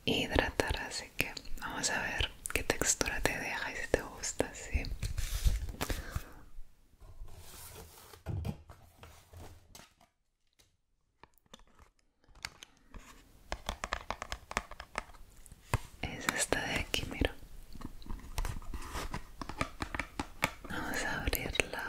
hidratar así que vamos a ver qué textura te deja y si te gusta sí es esta de aquí, mira. Vamos a abrirla.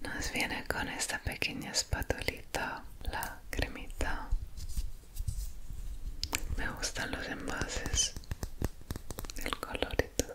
Nos viene con esta pequeña espatulita, la cremita. Me gustan los envases el colorito,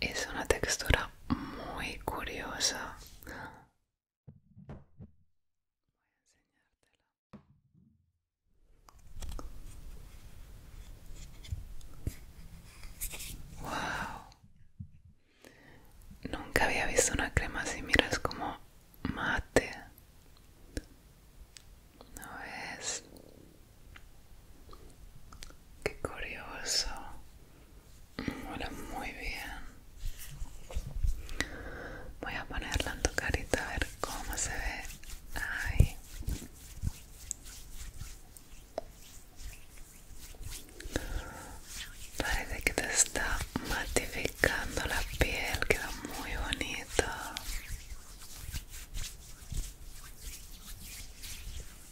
es una textura muy curiosa wow nunca había visto una crema así mira es como mate no es Qué curioso. Huele muy bien. Voy a ponerla en tu carita a ver cómo se ve. Parece que te está matificando la piel, queda muy bonito.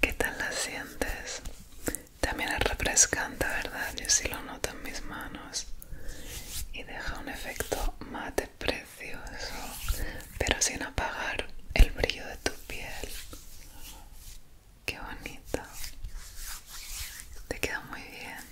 ¿Qué tal la sientes? También es refrescante, ¿verdad? Yo sí lo noto en mis manos y deja un efecto mate precioso, pero sin apagar el brillo de tu piel. Qué bonito. Te queda muy bien.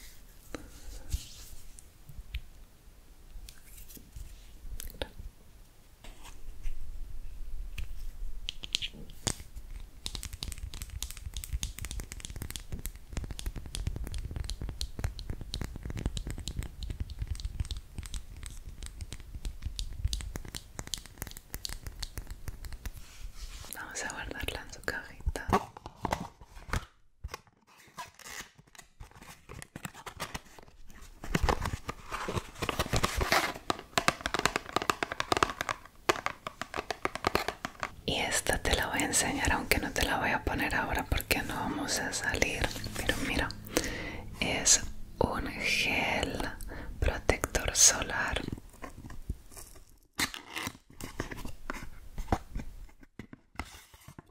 Vamos a guardarla en su cajita. Y esta te la voy a enseñar, aunque no te la voy a poner ahora porque no vamos a salir. Pero mira, es un gel protector solar.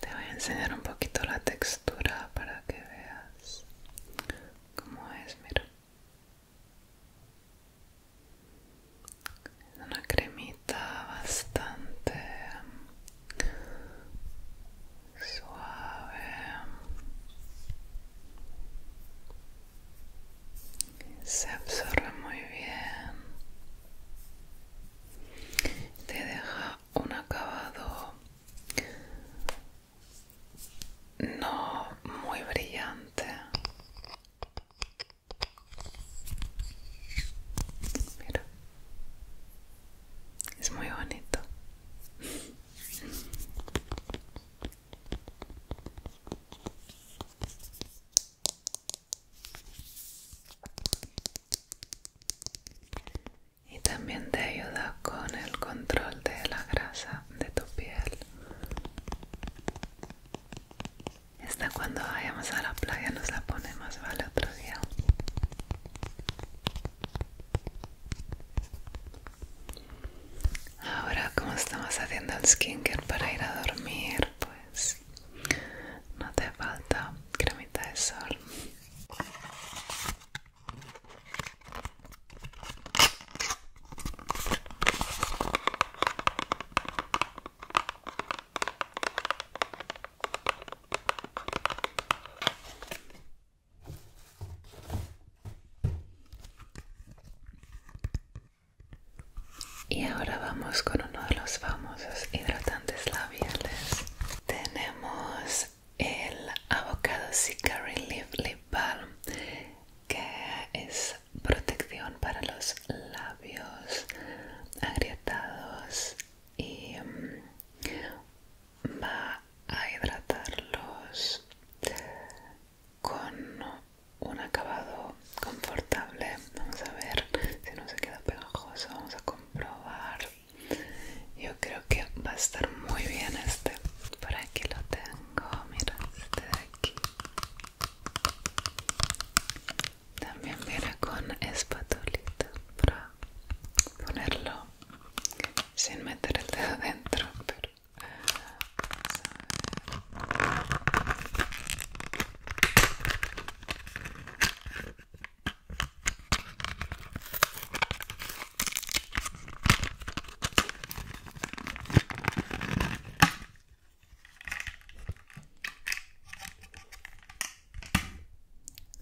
Te voy a enseñar un poquito la textura para que veas cómo es, mira. Es una cremita bastante suave. Se absorbe muy bien. Te deja un acabado no muy brillante mira es muy bonito y también te ayuda con el control de la grasa de tu piel. Esta cuando vayamos a la playa nos la ponemos ¿vale? otro día. Ahora como estamos haciendo el skincare para ir a dormir, pues no te falta cremita de sol. Y ahora vamos con uno de los famosos hidratantes labiales. Tenemos el Avocado Cicari Leaf Lip Balm que es protección para los labios agrietados y mm, va a hidratarlos con un acabado confortable vamos a ver si no se queda pegajoso vamos a comprobar yo creo que va a estar muy bien este. Por aquí lo tengo, mira este de aquí. También mira con espatulita para ponerlo sin meter el dedo adentro, pero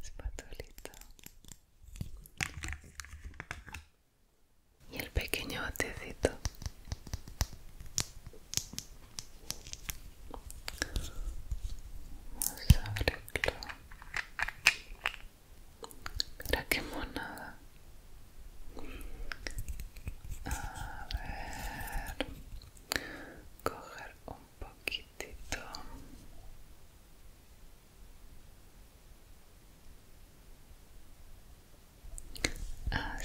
Espatulita. Y el pequeño botecito. ¿Era qué monada. A ver, coger un poquitito. Así. Ah,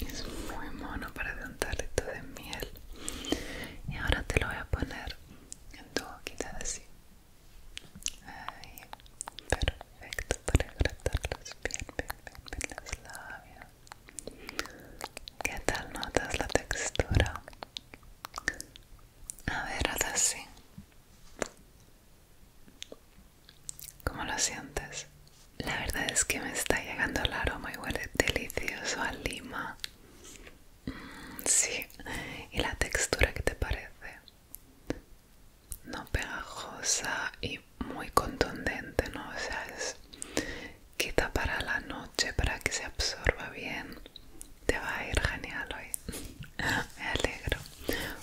es muy mono para de un de miel. Y ahora te lo voy a poner en tu boquita de sí perfecto para hidratar bien, bien, bien, las labios. ¿Qué tal notas la textura? A ver, haz así. ¿Cómo lo sientes? La verdad es que me está llegando el aroma y huele delicioso a lima. Mm, sí, y la textura que te parece no pegajosa y muy contundente, ¿no? O sea, es quita para la noche para que se absorba bien. Te va a ir genial hoy. Me alegro.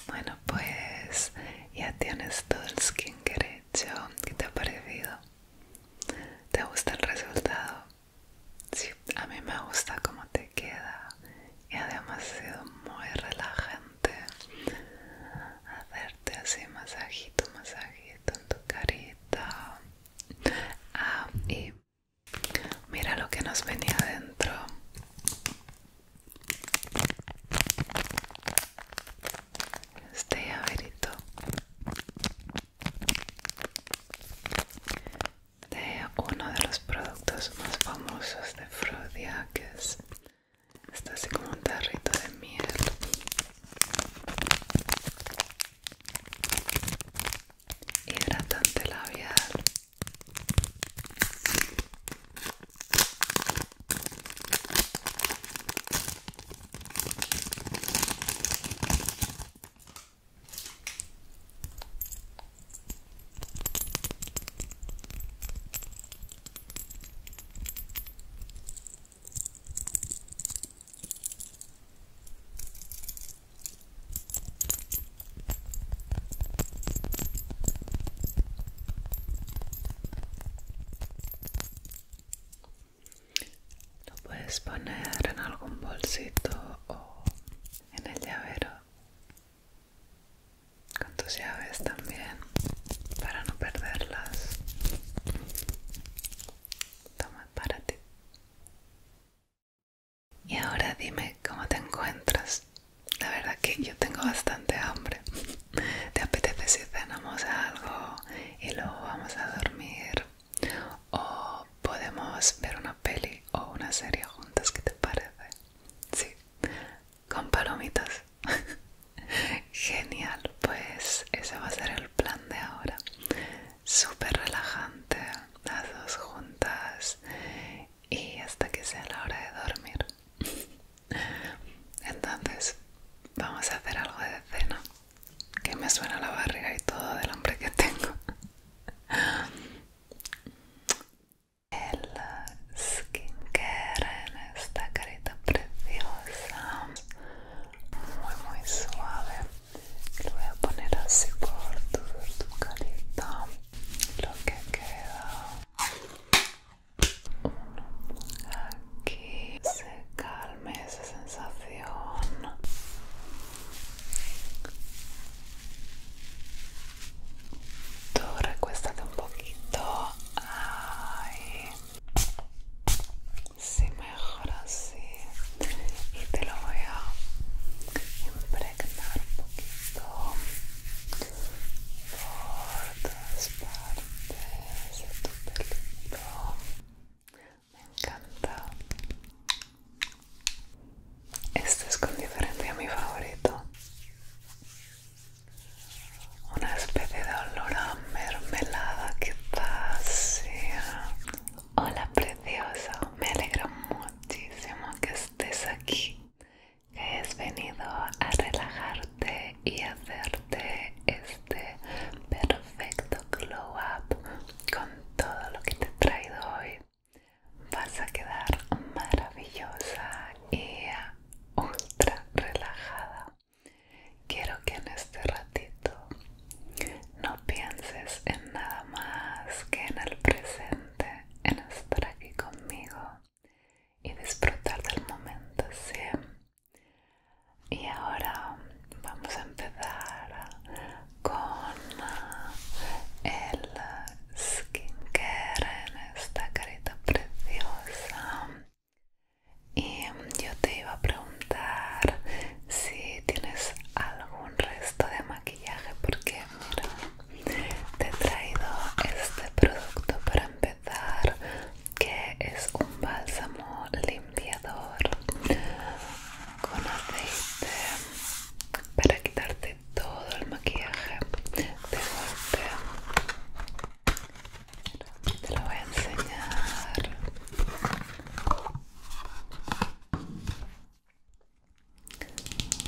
Bueno, pues ya tienes todo el skincare hecho. ¿Qué te ha parecido? ¿Te gusta el resultado? Sí, a mí me gusta como te queda y además ha sido muy relajante hacerte así masajito, masajito en tu carita. Ah, y mira lo que nos venía adentro. Este llaverito de uno de los productos más famosos de Frodia que es Está así como un tarrito de miel. Hidratante labial. Lo puedes poner en algún bolsito o en el llavero con tus llaves también para no perderlas toma para ti y ahora dime cómo te encuentras la verdad que yo tengo bastante hambre te apetece si cenamos algo y luego vamos a dormir o podemos ver una peli o una serie juntas, ¿qué te parece? Sí, con palomitas. Genial, pues ese va a ser el plan de ahora. Súper relajante, las dos juntas y hasta que sea la hora de dormir. Entonces, vamos a hacer algo de cena. Que me suena la barriga y todo del hombre que tengo. el skincare en esta carita preciosa muy muy suave lo voy a poner así por tu, tu carita lo que queda aquí se calme esa sensación Tú recuéstate un poquito. Ay. Sí, mejor así. Y te lo voy a impregnar un poquito por todas partes de tu Me encanta. Este es con diferencia mi favorito una especie de olor a mermelada que sea hola preciosa me alegro muchísimo que estés aquí que has venido a relajarte y hacerte este perfecto glow up con todo lo que te he traído hoy vas a quedar maravillosa y ultra relajada. Quiero que en este ratito no pienses en nada más que en el presente, en estar aquí conmigo y disfrutar del momento, ¿sí? Y ahora vamos a empezar con eh, el skincare en esta carita preciosa y em, yo te iba a preguntar si tienes algún resto de maquillaje porque mira te he traído este producto para empezar que es un bálsamo limpiador con aceite para quitarte todo el maquillaje de golpe te lo voy a enseñar.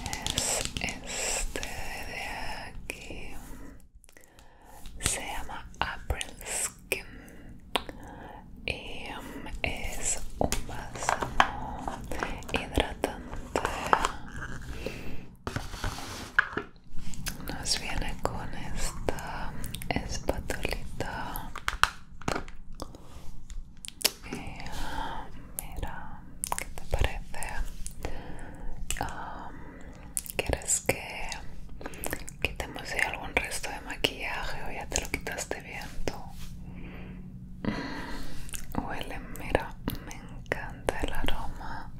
Es este de aquí. Se llama April Skin y um, es un bálsamo hidratante nos viene con esta espatulita ah, mira qué te parece ah, quieres que quitemos algún resto de maquillaje o ya te lo quitaste bien mm, huele mira me encanta el aroma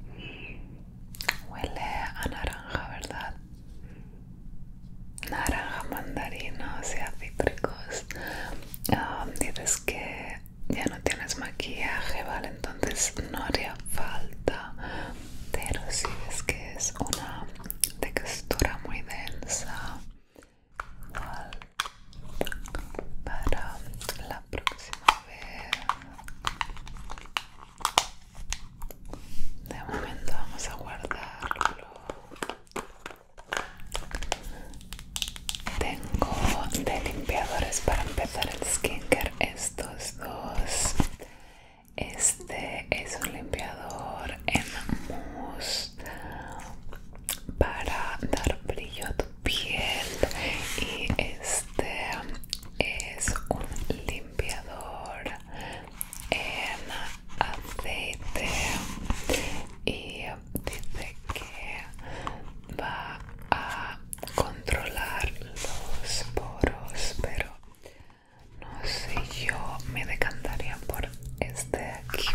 Huele a naranja, ¿verdad? Naranja, mandarina, o sea, cítricos. Ah, dices que ya no tienes maquillaje, ¿vale? Entonces no haría falta. Pero si es que es una textura muy densa, para la próxima De momento vamos a guardarlo. Tengo de limpiadores para empezar el skincare estos dos. Este es un limpiador en mousse para dar brillo a tu piel y este este es un limpiador en aceite y dice que va a controlar los poros pero no sé yo me decantaría por este aquí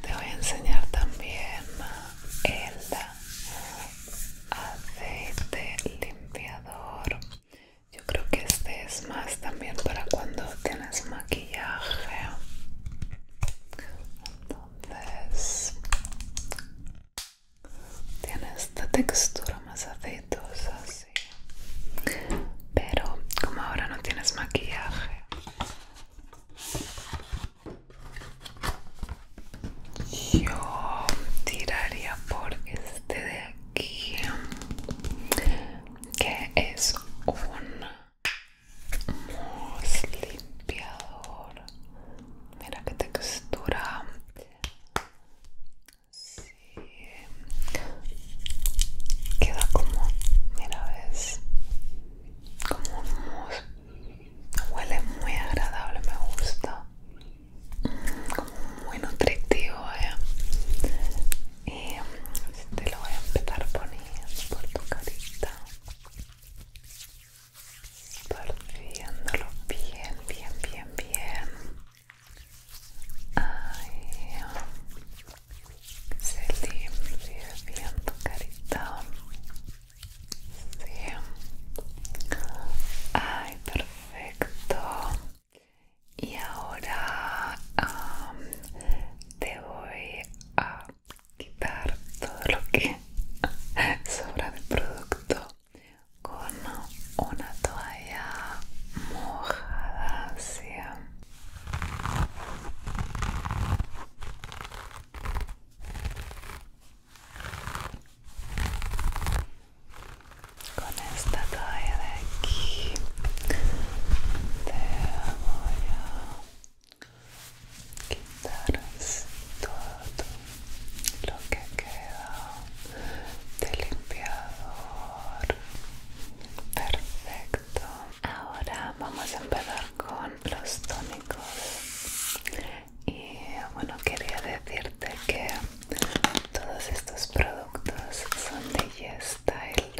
te voy a enseñar también el aceite limpiador yo creo que este es más también para cuando tienes maquillaje entonces tiene esta textura más aceitosa así pero como ahora no tienes maquillaje yo tiraría por este de aquí, que es un limpiador. Mira qué textura. Queda como, mira, ves, como hummus huele muy agradable me gusta mm, como muy nutritivo ¿eh? y te este, lo voy a empezar poniendo por tu carita partiéndolo bien bien bien bien Ahí. Se limpia bien carita. Sí. Ay, perfecto. Y ahora te voy a quitar todo lo que sobra de producto con una toalla mojada. Sí. Con esta toalla de aquí te voy a quitar todo lo que queda de limpiador. Perfecto. Ahora vamos a empezar con los tónicos y bueno quería decirte que todos estos productos son de YesStyle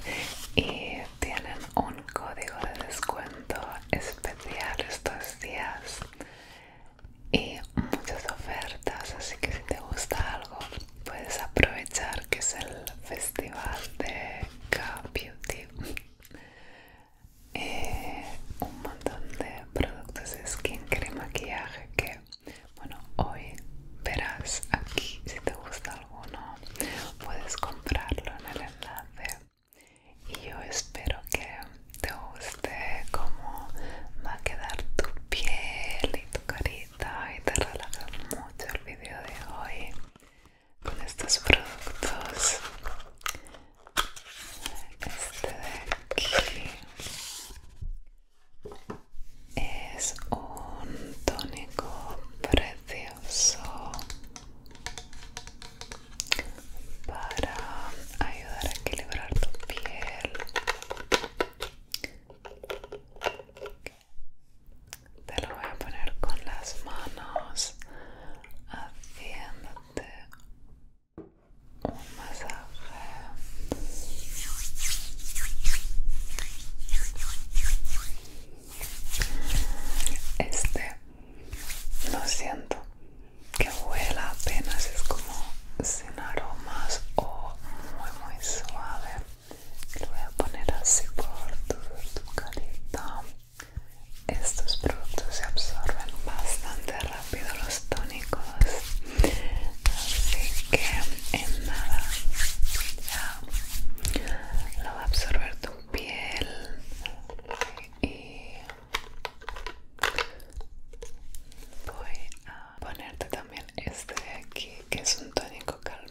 y tienen un código de descuento especial estos días y muchas ofertas así que si te gusta algo puedes aprovechar que es el festival de K Beauty eh, un montón de productos de skin crema maquillaje que, bueno, hoy verás aquí si te gusta alguno, puedes comprarlo en el enlace. Y yo espero que te guste cómo va a quedar tu piel y tu carita y te relaja mucho el vídeo de hoy con estos productos este de aquí es un tónico precioso para ayudar a equilibrar tu piel te lo voy a poner con las manos haciéndote un masaje este lo siento que huela apenas es como sin aromas o muy muy suave lo voy a poner así por tu, tu estos productos se absorben bastante rápido los tónicos, así que en nada ya lo va a absorber tu piel y voy a ponerte también este de aquí que es un tónico calmante.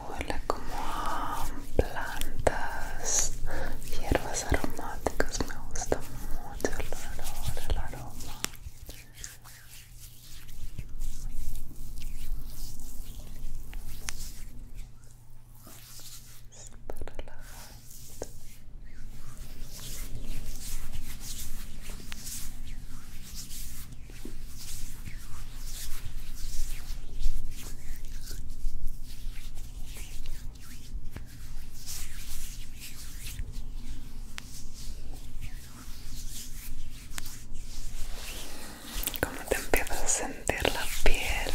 huele como a plantas, hierbas aromáticas. Me gusta mucho el olor, el aroma. Super relajante. Como te empiezas a sentir la piel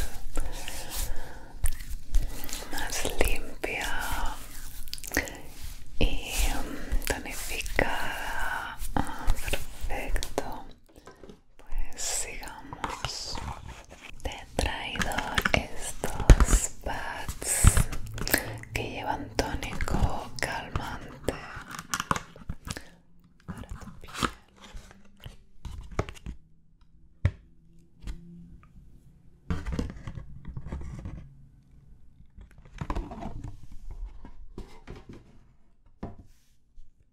más limpia y mm, tonificada, ah, perfecto. Pues sigamos. Te he traído estos pads que llevan tónico calmante para tu piel.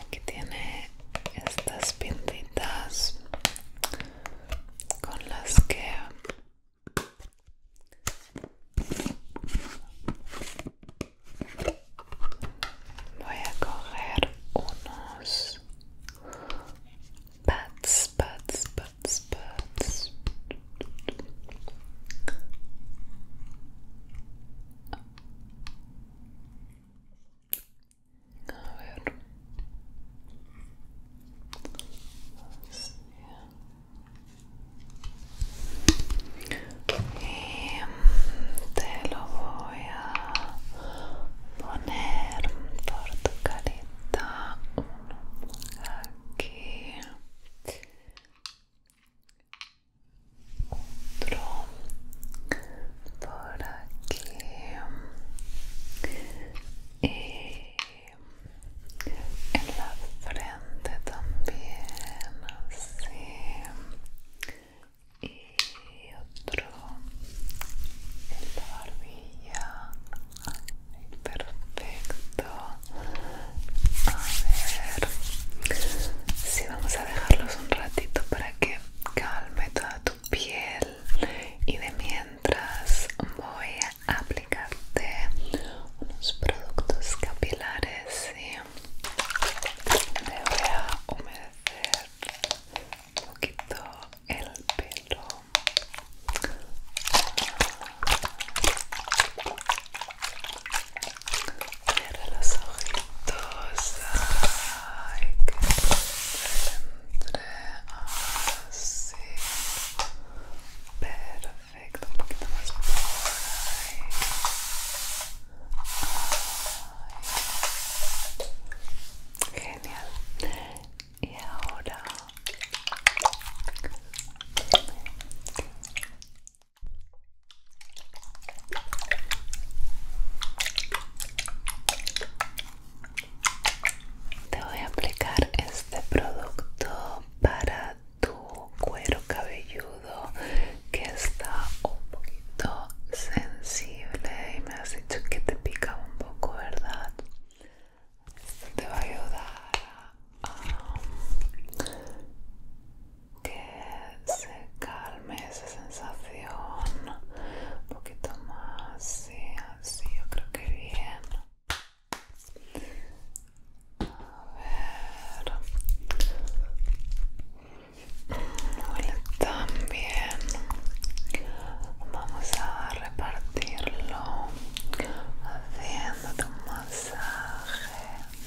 Aquí tiene estas pintitas con las que voy a coger unos pads, pads, pads, pads y te lo voy a poner por tu carita. Uno aquí otro por aquí y en la frente también así y otro en la barbilla perfecto a ver. si vamos a dejarlos un ratito para que calme toda tu piel. Y de mientras voy a aplicarte unos productos capilares y me voy a humedecer un poquito el pelo. Cierra los ojitos. Ay, que entre así. Perfecto, un poquito más por ahí. Genial. Y ahora. Te voy a aplicar este producto para tu cuero cabelludo que está un poquito sensible y me has dicho que te pica un poco, ¿verdad? Esto te va a ayudar que se calme esa sensación un poquito más sí, así yo creo que bien a ver también vamos a repartirlo haciendo un masaje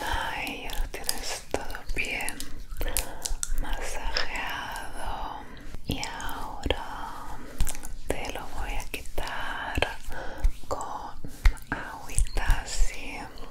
Ay, ya lo tienes todo bien masajeado y ahora te lo voy a quitar con agüita así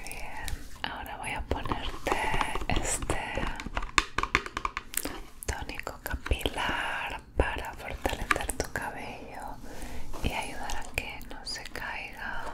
bien, ahora voy a ponerte este tónico capilar para fortalecer tu cabello y ayudar a que no se caiga.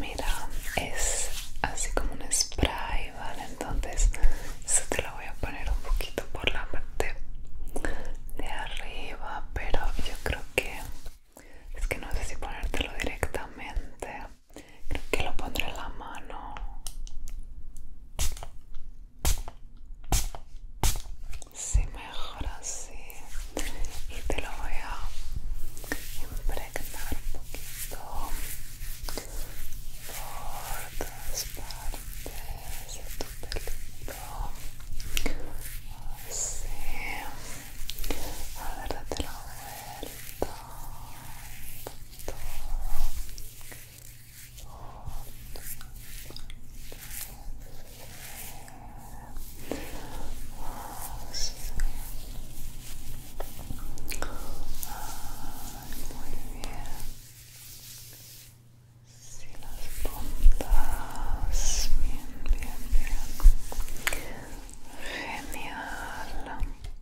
Mira, es así como un spray, ¿vale? Entonces, eso te lo voy a poner un poquito por la parte de arriba, pero yo creo que es que no sé si ponértelo directamente Creo que lo pondré en la mano. Sí, mejor así. Y te lo voy a impregnar un poquito por todas partes de tu pelito. Así. A ver, date la vuelta muy bien si las puntas bien bien bien genial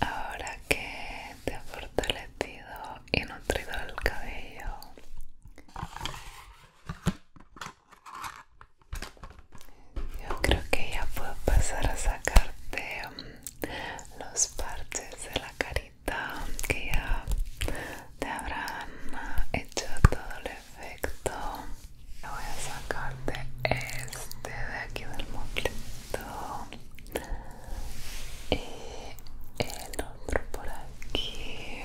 Ahora que te ha fortalecido y nutrido el cabello, yo creo que ya puedo pasar a sacarte mm, los parches de la carita que ya te habrán ah, hecho todo el efecto. Voy a sacarte este de aquí del moclito y eh, el otro por aquí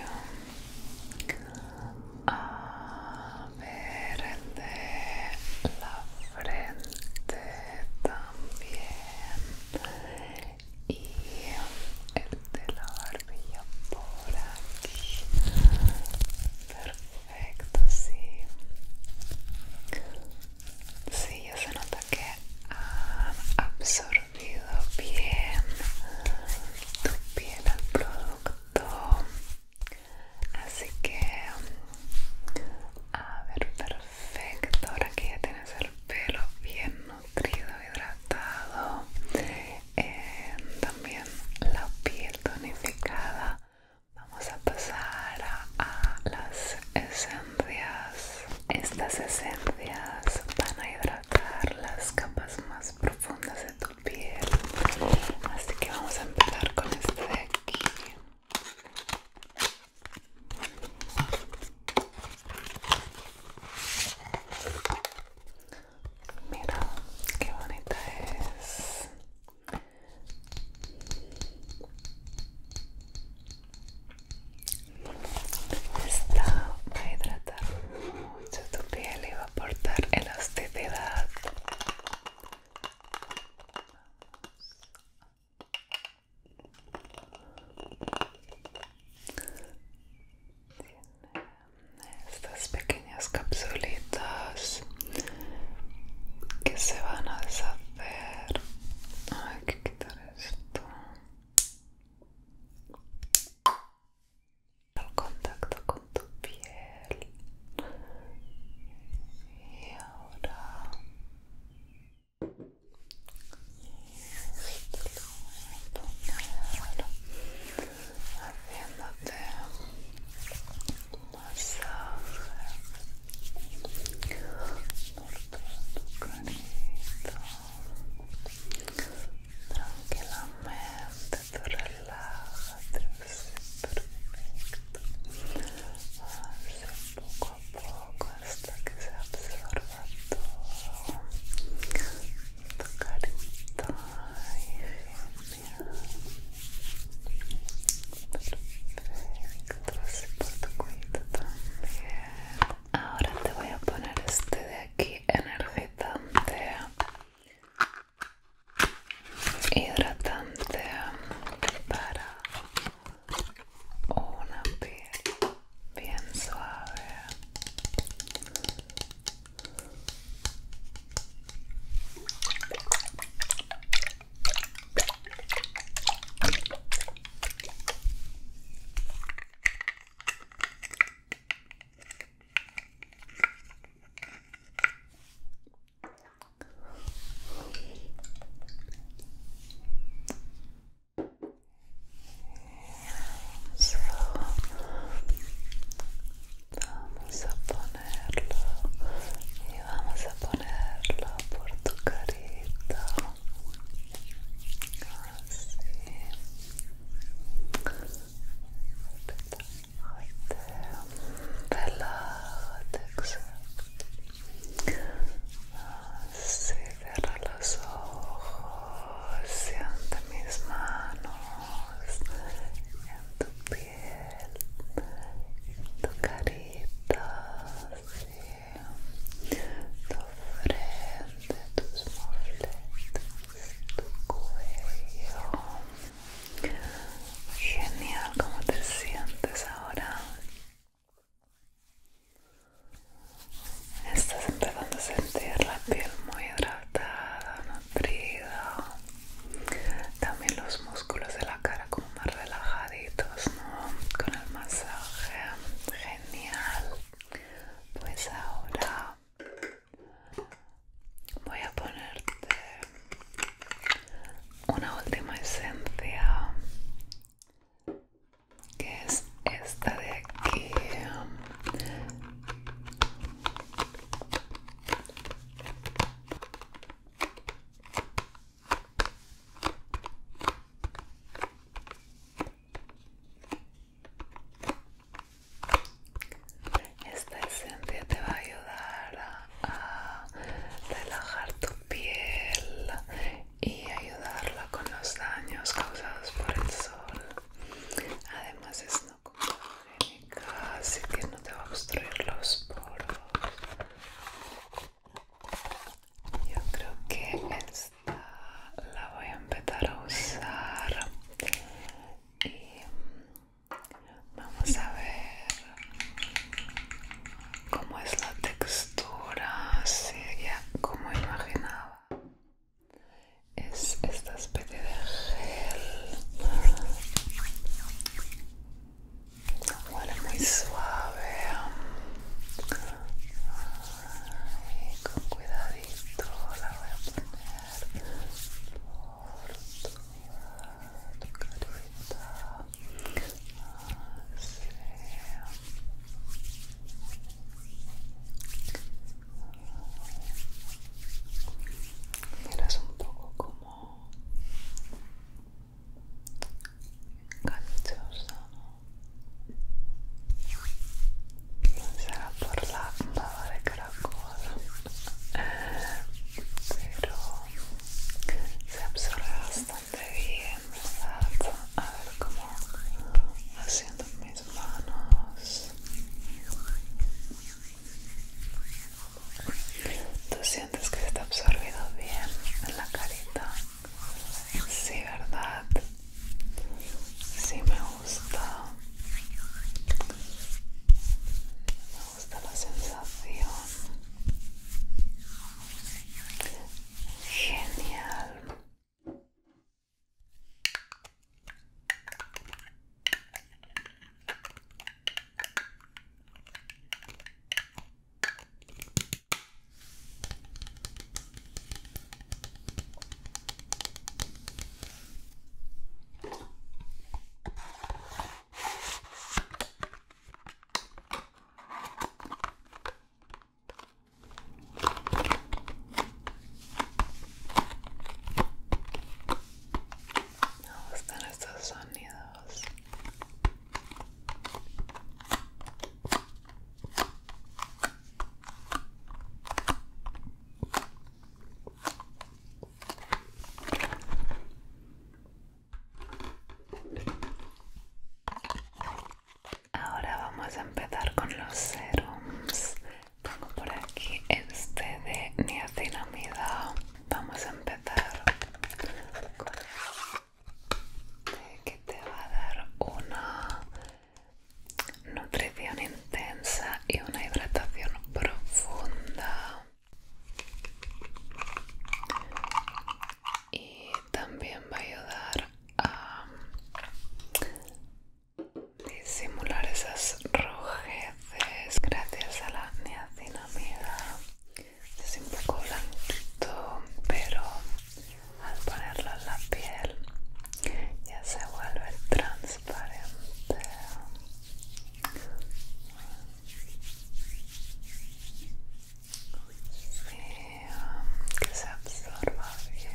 a ver el de la frente también y el de la barbilla por aquí Perfecto, sí. Sí, ya se nota que ha absorbido bien tu piel al producto. Así que, a ver, perfecto. Ahora que ya tienes el pelo bien nutrido, hidratado, eh, también la piel tonificada. Vamos a pasar a las esencias. Estas esencias van a hidratar las capas más profundas de tu piel. Así que vamos a empezar con este de aquí. Mira qué bonita es. Esta va a hidratar mucho tu piel y va a aportar elasticidad. estas pequeñas capsulitas que se van a deshacer. Hay que quitar esto. Al contacto con tu piel. Y ahora. Haciéndote masaje por todo tu carita tranquilamente tú relájate perfecto hace poco a poco hasta que se absorba todo tu carita y genial Ahora te voy a poner este de aquí energizante hidratante para una piel bien suave vamos a ponerlo vamos a ponerlo por tu carita así relájate te así cierra los ojos siente mis manos en tu piel en tu carita tu frente, tus muletas, tu cuello. Genial, ¿cómo te sientes ahora? Estás empezando a sentir la piel muy hidratada, nutrida. También los músculos de la cara como más relajaditos, ¿no? Con el masaje, genial. Pues ahora voy a ponerte una última esencia que es esta de aquí esta esencia te va a ayudar a relajar tu piel y ayudarla con los daños causados por el sol. Además es no así que no te va a obstruir los poros. Yo creo que esta la voy a empezar a usar y mm, vamos a ver cómo es la textura, si ya como imaginaba. Es esta especie de gel Huele muy suave. con cuidadito la voy a poner por toda tu carita. Ah, Miras un poco como Canciosa, ¿no? será por la baba de caracol, pero se absorbe bastante bien, ¿verdad? A ver cómo haciendo mis manos. ¿Tú sientes que se está absorbido bien en la carita? Sí, ¿verdad? Sí, me gusta. Me gusta la sensación. Genial. Me gustan estos sonidos. Ahora vamos a empezar con los serums. Tengo por aquí este de niacinamida. Vamos a empezar que te va a dar una nutrición intensa y una hidratación profunda y también va a ayudar a disimular esas rojeces gracias a la niacinamida es un poco blanquito pero al ponerlo en la piel ya se vuelve transparente que se absorba bien.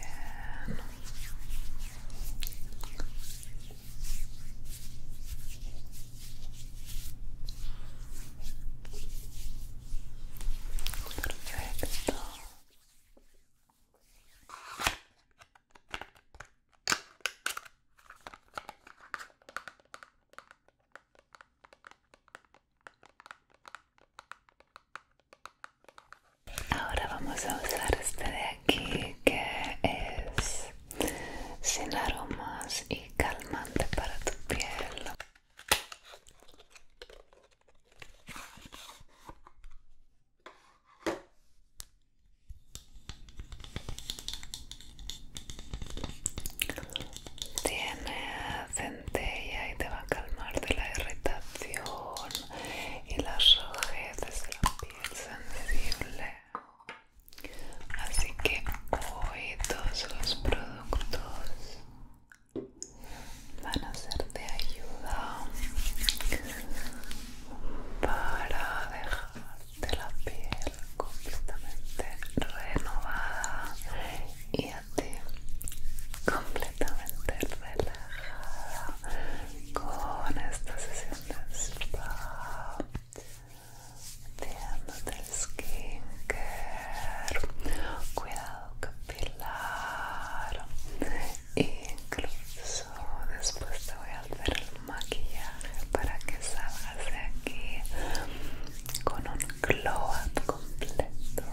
Ahora vamos a usar este de aquí que es sin aromas y calmante para tu piel. Tiene centella y te va a calmar de la irritación y las rojeces de la piel sensible. Así que hoy todos los productos van a ser de ayuda para dejarte la piel completamente renovada y a ti completamente relajada con esta sesión de spa ando el skincare cuidado capilar incluso después te voy a hacer el maquillaje para que salgas de aquí con un glow up completo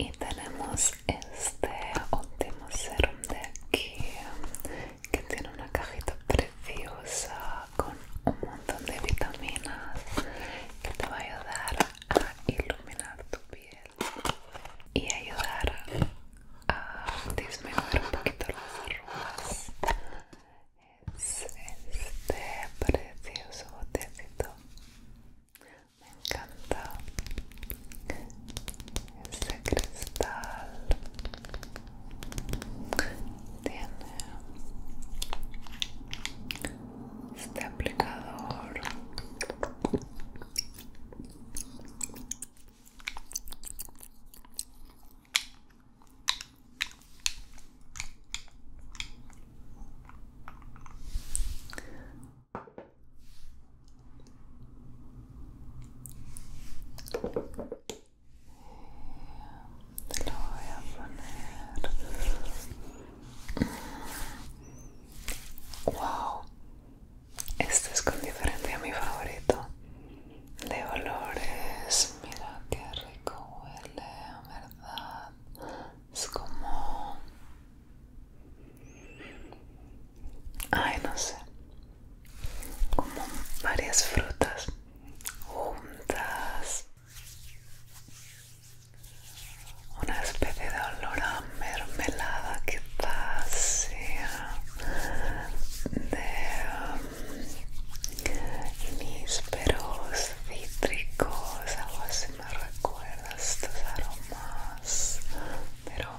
y tenemos este último serum de aquí que tiene una cajita preciosa con un montón de vitaminas que te va a ayudar a iluminar tu piel y ayudar a disminuir un poquito las arrugas. Es este precioso botecito. Me encanta. Este cristal tiene este aplicador. Te lo voy a poner. Wow, este es con diferente a mi favorito de olores. Mira qué rico huele, verdad. Es como, ay, no sé como varias frutas juntas una especie de olor a mermelada que de um, nísperos cítricos algo así me recuerda estos aromas pero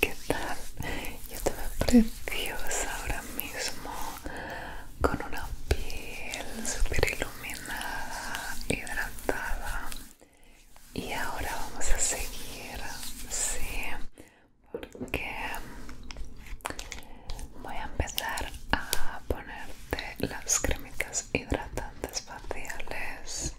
¿Qué tal? Yo estoy preciosa ahora mismo con una piel super iluminada, hidratada. Y ahora vamos a seguir, sí, porque voy a empezar a poner de las cremitas hidratantes faciales.